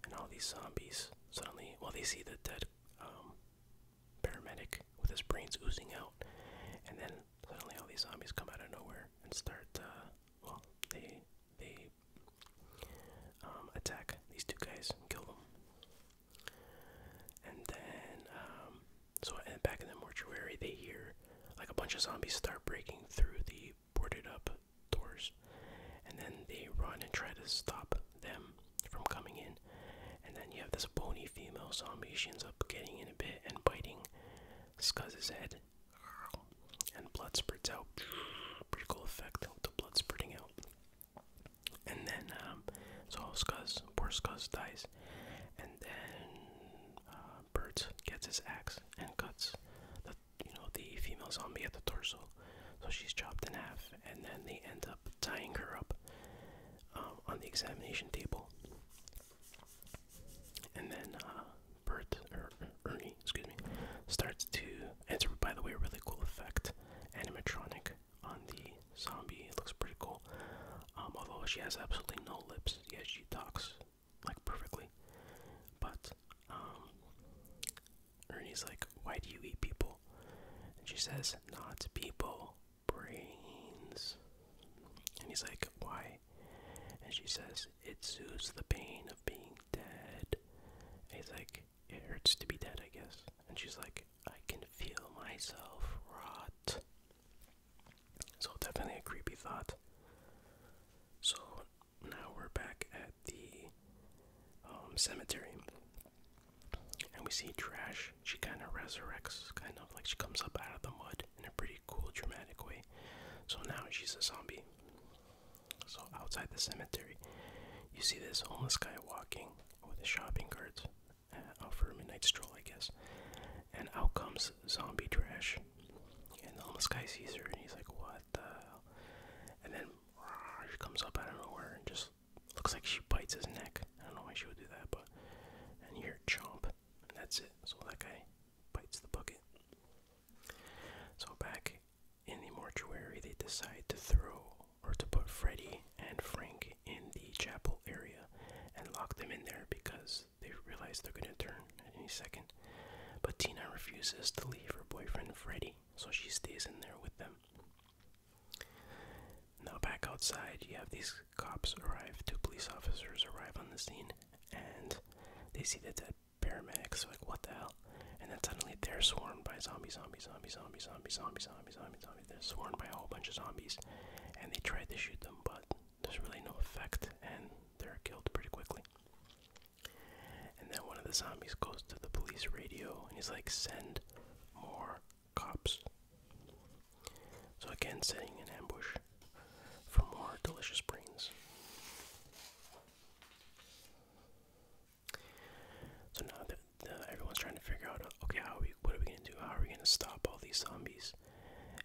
and all these zombies. Suddenly, well, they see the dead um, paramedic with his brains oozing out, and then suddenly all these zombies come out of nowhere and start. Uh, well, they they um, attack these two guys and kill them. And then, um, so and back in the mortuary, they hear like a bunch of zombies start breaking through the boarded up doors and then they run and try to stop them from coming in and then you have this bony female zombie she ends up getting in a bit and biting scuzz's head and blood spurts out pretty cool effect the blood spurting out and then um so scuzz poor scuzz dies and then uh, Bert gets his axe and cuts the you know the female zombie at the torso, so she's chopped in half, and then they end up tying her up um, on the examination table. And then uh, Bert or Ernie, excuse me, starts to. enter. by the way a really cool effect, animatronic on the zombie. looks pretty cool. Um, although she has absolutely no lips, yet she talks like perfectly. But um Ernie's like, Why do you eat people? And she says, Not people, brains. And he's like, Why? And she says, It soothes the pain of being dead. And he's like, It hurts to be dead, I guess. And she's like, I can feel myself rot. So definitely a creepy thought. So now we're back at the um, cemetery, and we see Trash. She kind of resurrects, kind of like she comes up out of the mud in a pretty cool, dramatic way. So now she's a zombie. So outside the cemetery, you see this homeless guy walking with a shopping cart uh, out for a midnight stroll, I guess. And out comes zombie Trash and all almost guy sees her and he's like, what the hell? And then she comes up out of nowhere and just looks like she bites his neck. I don't know why she would do that, but. And you hear a chomp. And that's it. So that guy bites the bucket. So back in the mortuary, they decide to throw or to put Freddy and Frank in the chapel area and lock them in there because they realize they're gonna turn at any second. But Tina refuses to leave her boyfriend Freddy, so she stays in there with them. Now, back outside, you have these cops arrive, two police officers arrive on the scene, and they see the dead paramedics, like, what the hell? And then suddenly they're swarmed by zombies, zombies, zombies, zombies, zombies, zombies, zombies, zombies. They're swarmed by a whole bunch of zombies, and they try to shoot them, but there's really no effect, and they're killed pretty quickly. And then one of the zombies goes to the police radio and he's like, send more cops. So again, setting an ambush for more delicious brains. So now that everyone's trying to figure out, okay, how are we, what are we gonna do? How are we gonna stop all these zombies?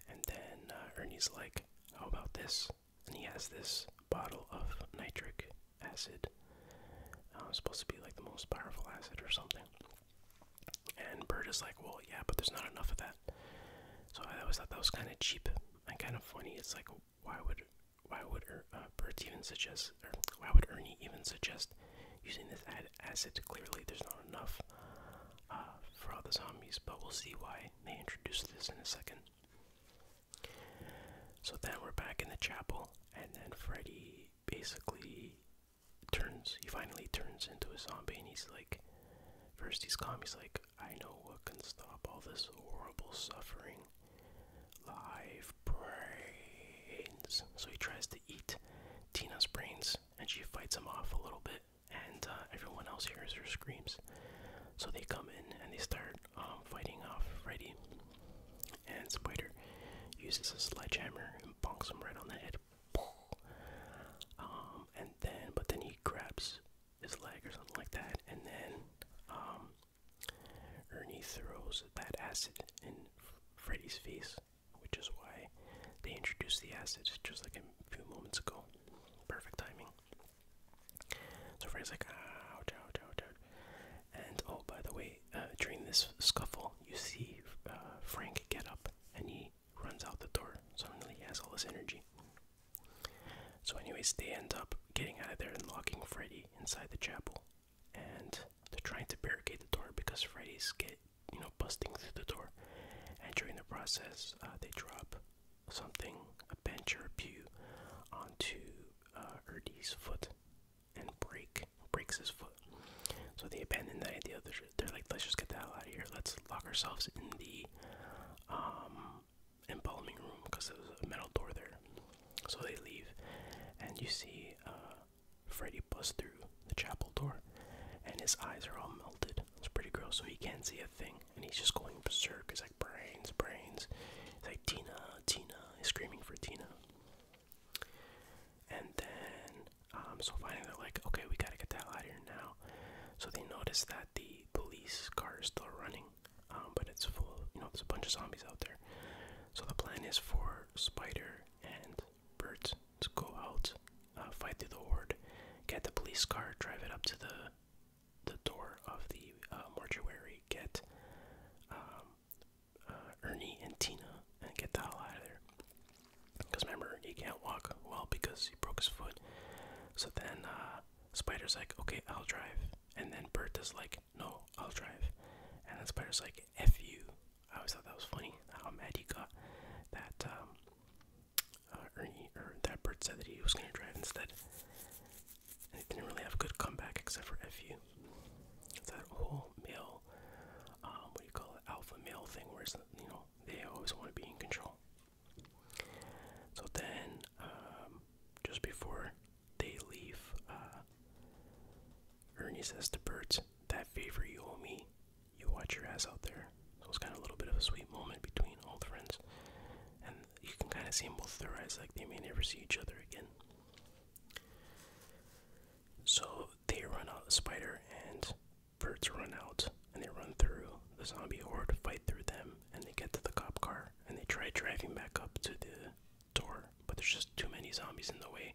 And then uh, Ernie's like, how about this? and he has this bottle of nitric acid. Uh, supposed to be like the most powerful acid or something. And Bert is like, well, yeah, but there's not enough of that. So I always thought that was kind of cheap and kind of funny. It's like, why would why would er, uh, even suggest, or why would Ernie even suggest using this acid? Clearly, there's not enough uh, for all the zombies. But we'll see why may introduce this in a second. So then we're back in the chapel, and then Freddy basically turns, he finally turns into a zombie, and he's like, first he's calm, he's like, I know what can stop all this horrible suffering. Live brains. So he tries to eat Tina's brains, and she fights him off a little bit and uh, everyone else hears her screams. So they come in and they start um, fighting off Freddy. And Spider uses a sledgehammer and bonks him right on the head. Um, and then, but then he grabs his leg or something like that, and then um, Ernie throws that acid in Freddy's face, which is why they introduced the acid just like a few moments ago. Perfect timing. So Frey's like, ouch, ouch, ouch, ouch. And oh, by the way, uh, during this scuffle, you see uh, Frank get up and he runs out the door. Suddenly he has all this energy. So, anyways, they end up getting out of there and locking Freddy inside the chapel. And they're trying to barricade the door because Freddy's get you know busting through the door. And during the process, uh, they drop something, a bench or a pew, onto uh, Erdy's foot and break breaks his foot. So they abandon that idea. They're, like, let's just get the hell out of here. Let's lock ourselves in the um, embalming room because there's a metal door there. So they leave, and you see uh, Freddy bust through the chapel door, and his eyes are all melted. It's pretty gross, so he can't see a thing and he's just going berserk. He's like brains, brains. He's like Tina, Tina. He's screaming for Tina. And then, um, so finally they're like, okay, we gotta get that out of here now. So they notice that the police car is still running, um, but it's full. you know, there's a bunch of zombies out there. So the plan is for Spider and Bert to go out, uh, fight through the horde, get the police car, drive it up to the the door of the uh, mortuary, get um, uh, Ernie and Tina, and get the hell out of there. Because remember, he can't walk well because he broke his foot. So then uh, Spider's like, okay, I'll drive. And then Bert is like, no, I'll drive. And then Spider's like, F you. I always thought that was funny how mad he got that um, Ernie, or that bird said that he was going to drive instead. They didn't really have a good comeback except for FU. that whole male, um, what do you call it, alpha male thing where you know, they always want to be in control. So then, um, just before they leave, uh, Ernie says to Bert, that favor you owe me, you watch your ass out there. So it's kind of a little bit of a sweet moment between old friends. And you can kind of see in both their eyes like they may never see each other again. So they run out, the spider and birds run out, and they run through the zombie horde, fight through them, and they get to the cop car, and they try driving back up to the door, but there's just too many zombies in the way.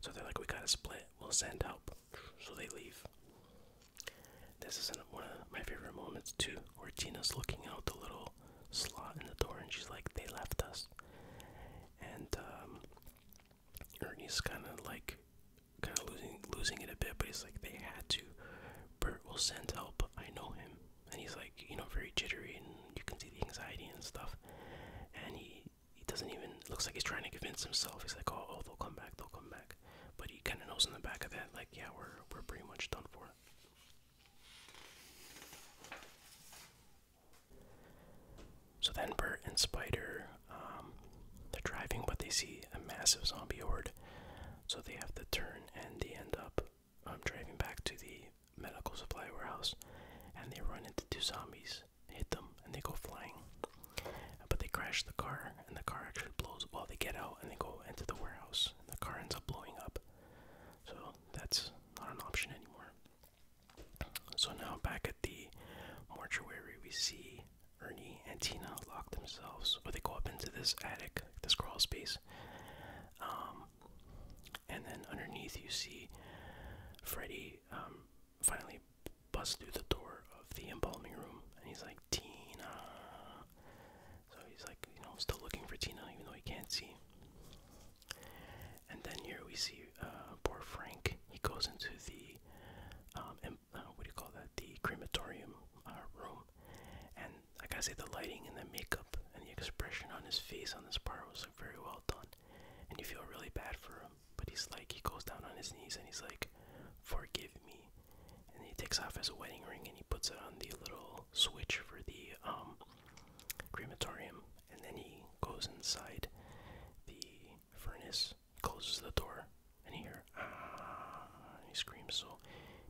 So they're like, we gotta split, we'll send help. So they leave. This is one of my favorite moments too, where Gina's looking out the little slot in the door and she's like, they left us. And um, Ernie's kind of like, kind of losing, losing it a bit, but he's like, they had to. Bert will send help. I know him. And he's like, you know, very jittery, and you can see the anxiety and stuff. And he, he doesn't even, looks like he's trying to convince himself. He's like, oh, oh they'll come back, they'll come back but he kind of knows in the back of that, like, yeah, we're we're pretty much done for. So then Bert and Spider, um, they're driving, but they see a massive zombie horde, so they have to turn and they end up um, driving back to the medical supply warehouse, and they run into two zombies, hit them, and they go flying. But they crash the car, and the car actually blows. Well, they get out and they go into the warehouse, the car ends up blowing up. So that's not an option anymore. So now back at the mortuary, we see Ernie and Tina lock themselves, or they go up into this attic, this crawl space. Um, and then underneath, you see Freddy um, finally bust through the door of the embalming room, and he's like, Tina. So he's like, you know, still looking for Tina, even though he can't see. And then here we see uh, poor Frank. He goes into the, um, uh, what do you call that? The crematorium uh, room. And I gotta say, the lighting and the makeup and the expression on his face on this part was like very well done. And you feel really bad for him. But he's like, he goes down on his knees and he's like, forgive me and he takes off his wedding ring and he puts it on the little switch for the um, crematorium, and then he goes inside the furnace, closes the door, and he ah, he screams. So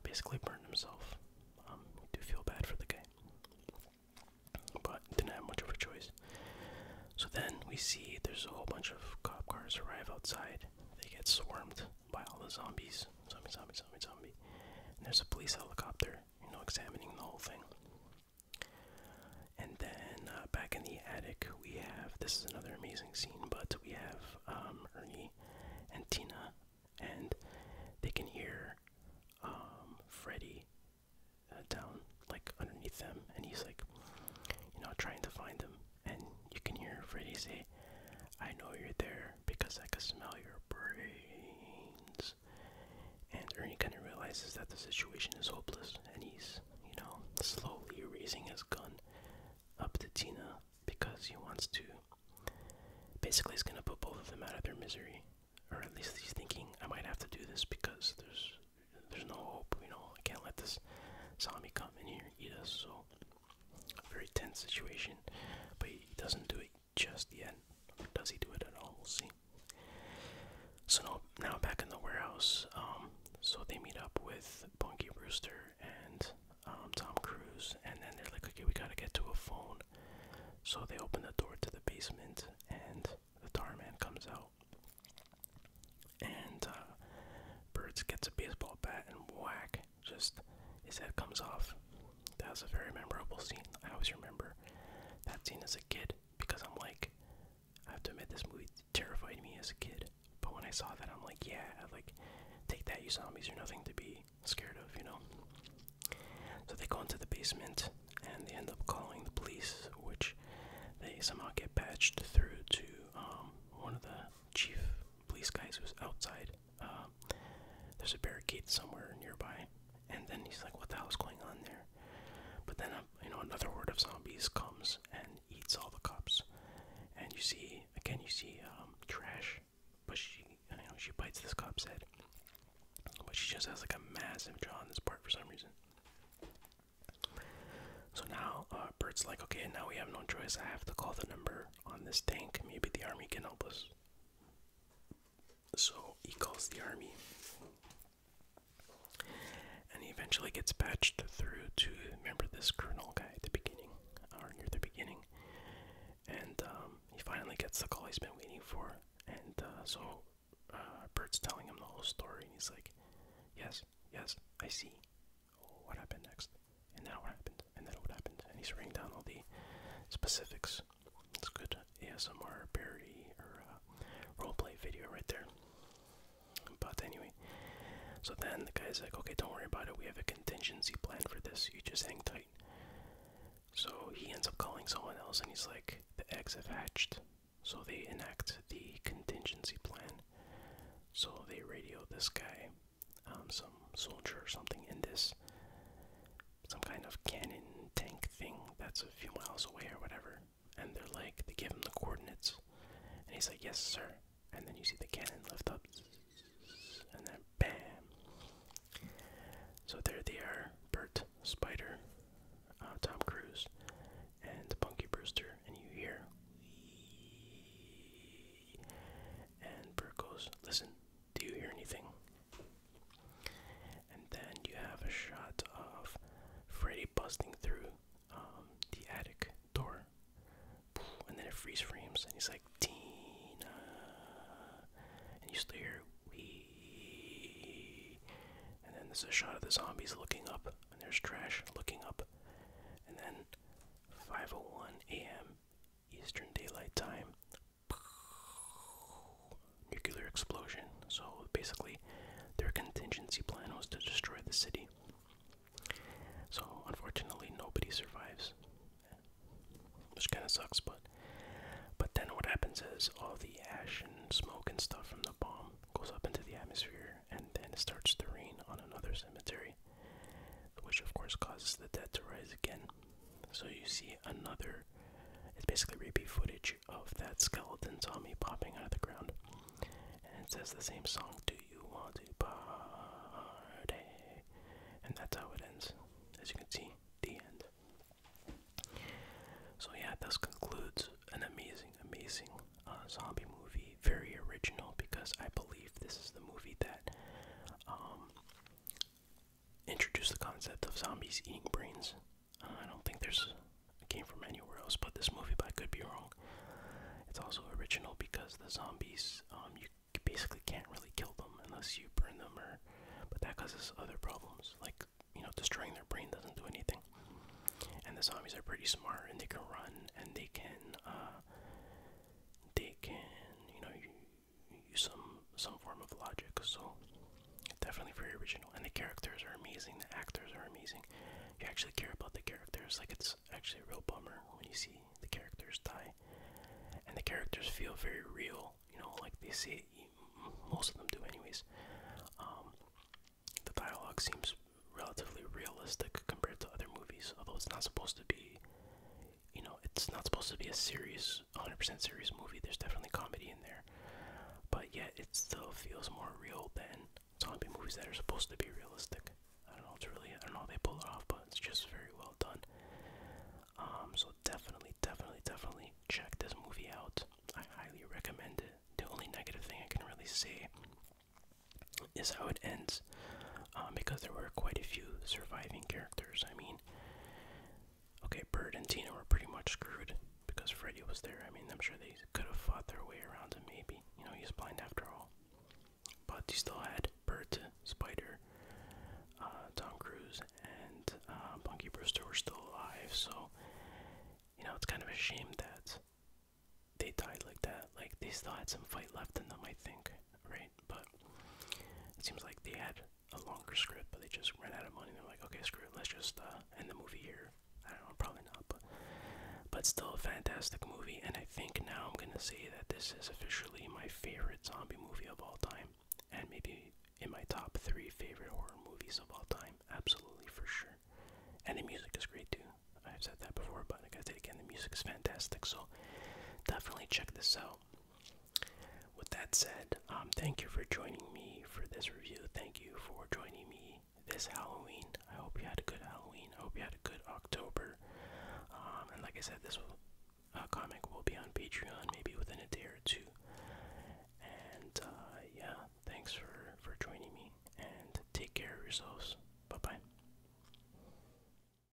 basically, burned himself. Um, do feel bad for the guy, but didn't have much of a choice. So then we see there's a whole bunch of cop cars arrive outside. They get swarmed by all the zombies. Zombie, zombie, zombie, zombie. there's a police helicopter, you know, examining the whole thing. And then uh, back in the attic, we have this is another amazing scene, but we have um, Ernie and Tina, and they can hear um, Freddy uh, down like underneath them, and he's like, you know, trying to find them, and you can hear Freddy say, I know you're there because I can smell your brains. And Ernie kind of realizes that the situation is hopeless and he's, you know, slowly raising his gun up to Tina because he wants to. Basically, he's gonna put both of them out of their misery, or at least he's thinking I might have to do this because there's there's no hope. You know, I can't let this zombie come in here eat us. So a very tense situation, but he doesn't do it just yet. does he do it at all? We'll see. So now, now back in the warehouse, um, so they meet up with Bunky Brewster and um, Tom Cruise, and then they're like, okay, we gotta get to a phone. So they open the door to the basement, and the tar man comes out. And uh, Birds gets a baseball bat and whack just his head comes off. That was a very memorable scene. I always remember that scene as a kid because I'm like, I have to admit this movie terrified me as a kid. But when I saw that, I'm like, yeah, I like take that, you zombies, you're nothing to be scared of, you know. So they go into the basement and they end up calling the police, which they somehow get patched through to um, one of the chief police guys who's outside um, there's a barricade somewhere nearby, and then he's like, "What the hell's going on there?" But then, um, you know, another horde of zombies comes and eats all the cops, and you see again, you see um, trash, but she, you know, she bites this cop's head, but she just has like a massive jaw on this part for some reason. So now, uh, Bert's like, okay, now we have no choice. I have to call the number on this tank. Maybe the army can help us. So he calls the army. And he eventually gets patched through to remember this colonel guy at the beginning, or near the beginning. And um, he finally gets the call he's been waiting for. And uh, so uh, Bert's telling him the whole story, and he's like, Yes, yes, I see what happened next, and now what happened, and then what happened, and he's writing down all the specifics. It's good ASMR parody or uh, roleplay video right there. But anyway, so then the guy's like, okay, don't worry about it. We have a contingency plan for this. You just hang tight. So he ends up calling someone else, and he's like, the eggs have hatched. So they enact the contingency plan. So they radio this guy um, some soldier or something in this some kind of cannon tank thing that's a few miles away or whatever. And they're like, they give him the coordinates, and he's like, "Yes, sir." And then you see the cannon lift up, and then bam. So there they are: Bert, Spider, uh, Tom Cruise, and Punky Brewster. And you hear and Bert goes, Listen, do you hear anything? And then you have a shot of Freddy busting through um, the attic door. And then it freeze frames, and he's like, Tina. And you still hear, Wee. And then there's a shot of the zombies looking up, and there's trash looking up. And then 5:01 a.m. Eastern Daylight Time. Nuclear explosion. So basically, their contingency plan was to destroy the city. So unfortunately, nobody survives, which kind of sucks. But but then what happens is all the ash and smoke and stuff from the bomb goes up into the atmosphere, and then it starts to rain on another cemetery which of course causes the debt to rise again. So you see another, it's basically repeat footage of that skeleton zombie popping out of the ground. And it says the same song, Do You Want to Party? And that's how it ends. As you can see, the end. So, yeah, this concludes an amazing, amazing uh, zombie movie. Very original because I believe this is the movie that um, Introduce the concept of zombies eating brains. Uh, I don't think there's a game from anywhere else, but this movie, but I could be wrong. It's also original because the zombies, um, you basically can't really kill them unless you burn them, or but that causes other problems, like you know, destroying their brain doesn't do anything. And the zombies are pretty smart, and they can run, and they can, uh, they can, you know, use some some form of logic. So definitely very original, and the characters are amazing. The actors are amazing. You actually care about the characters. Like it's actually a real bummer when you see the characters die, and the characters feel very real. You know, like they say most of them do, anyways. Um, the dialogue seems relatively realistic compared to other movies, although it's not supposed to be you know, it's not supposed to be a serious, 100% serious movie. There's definitely comedy in there, but yet it still feels more real than zombie movies that are supposed to be realistic. I don't know. It's really I don't know they pull it off, but it's just very well done. Um, so definitely, definitely, definitely check this movie out. I highly recommend it. The only negative thing I can really say is how it ends. Um, because there were quite a few surviving characters. I mean, okay, Bird and Tina were pretty much screwed because Freddy was there. I mean, I'm sure they could have fought their way around him, maybe. You know, he's blind after all. But he still had Bert, Spider, uh, Tom Cruise, and uh, Bunky Brewster were still alive, so, you know, it's kind of a shame that they died like that. Like, they still had some fight left in them, I think right? But it seems like they had a longer script, but they just ran out of money. They're like, okay, screw it, let's just uh, end the movie here. I don't know, probably not, but but still a fantastic movie. And I think now I'm gonna say that this is officially my favorite zombie movie of all time, and maybe in my top three favorite horror movies of all time. Absolutely for sure. And the music is great too. I've said that before, but I gotta say it again, the music is fantastic. So definitely check this out. With that said, um, thank you for joining me for this review. Thank you for joining me this Halloween. I hope you had a good Halloween. I hope you had a good October. Um, and like I said, this uh, comic will be on Patreon maybe within a day or two. And uh, yeah, thanks for, for joining me. And take care of yourselves. Bye bye.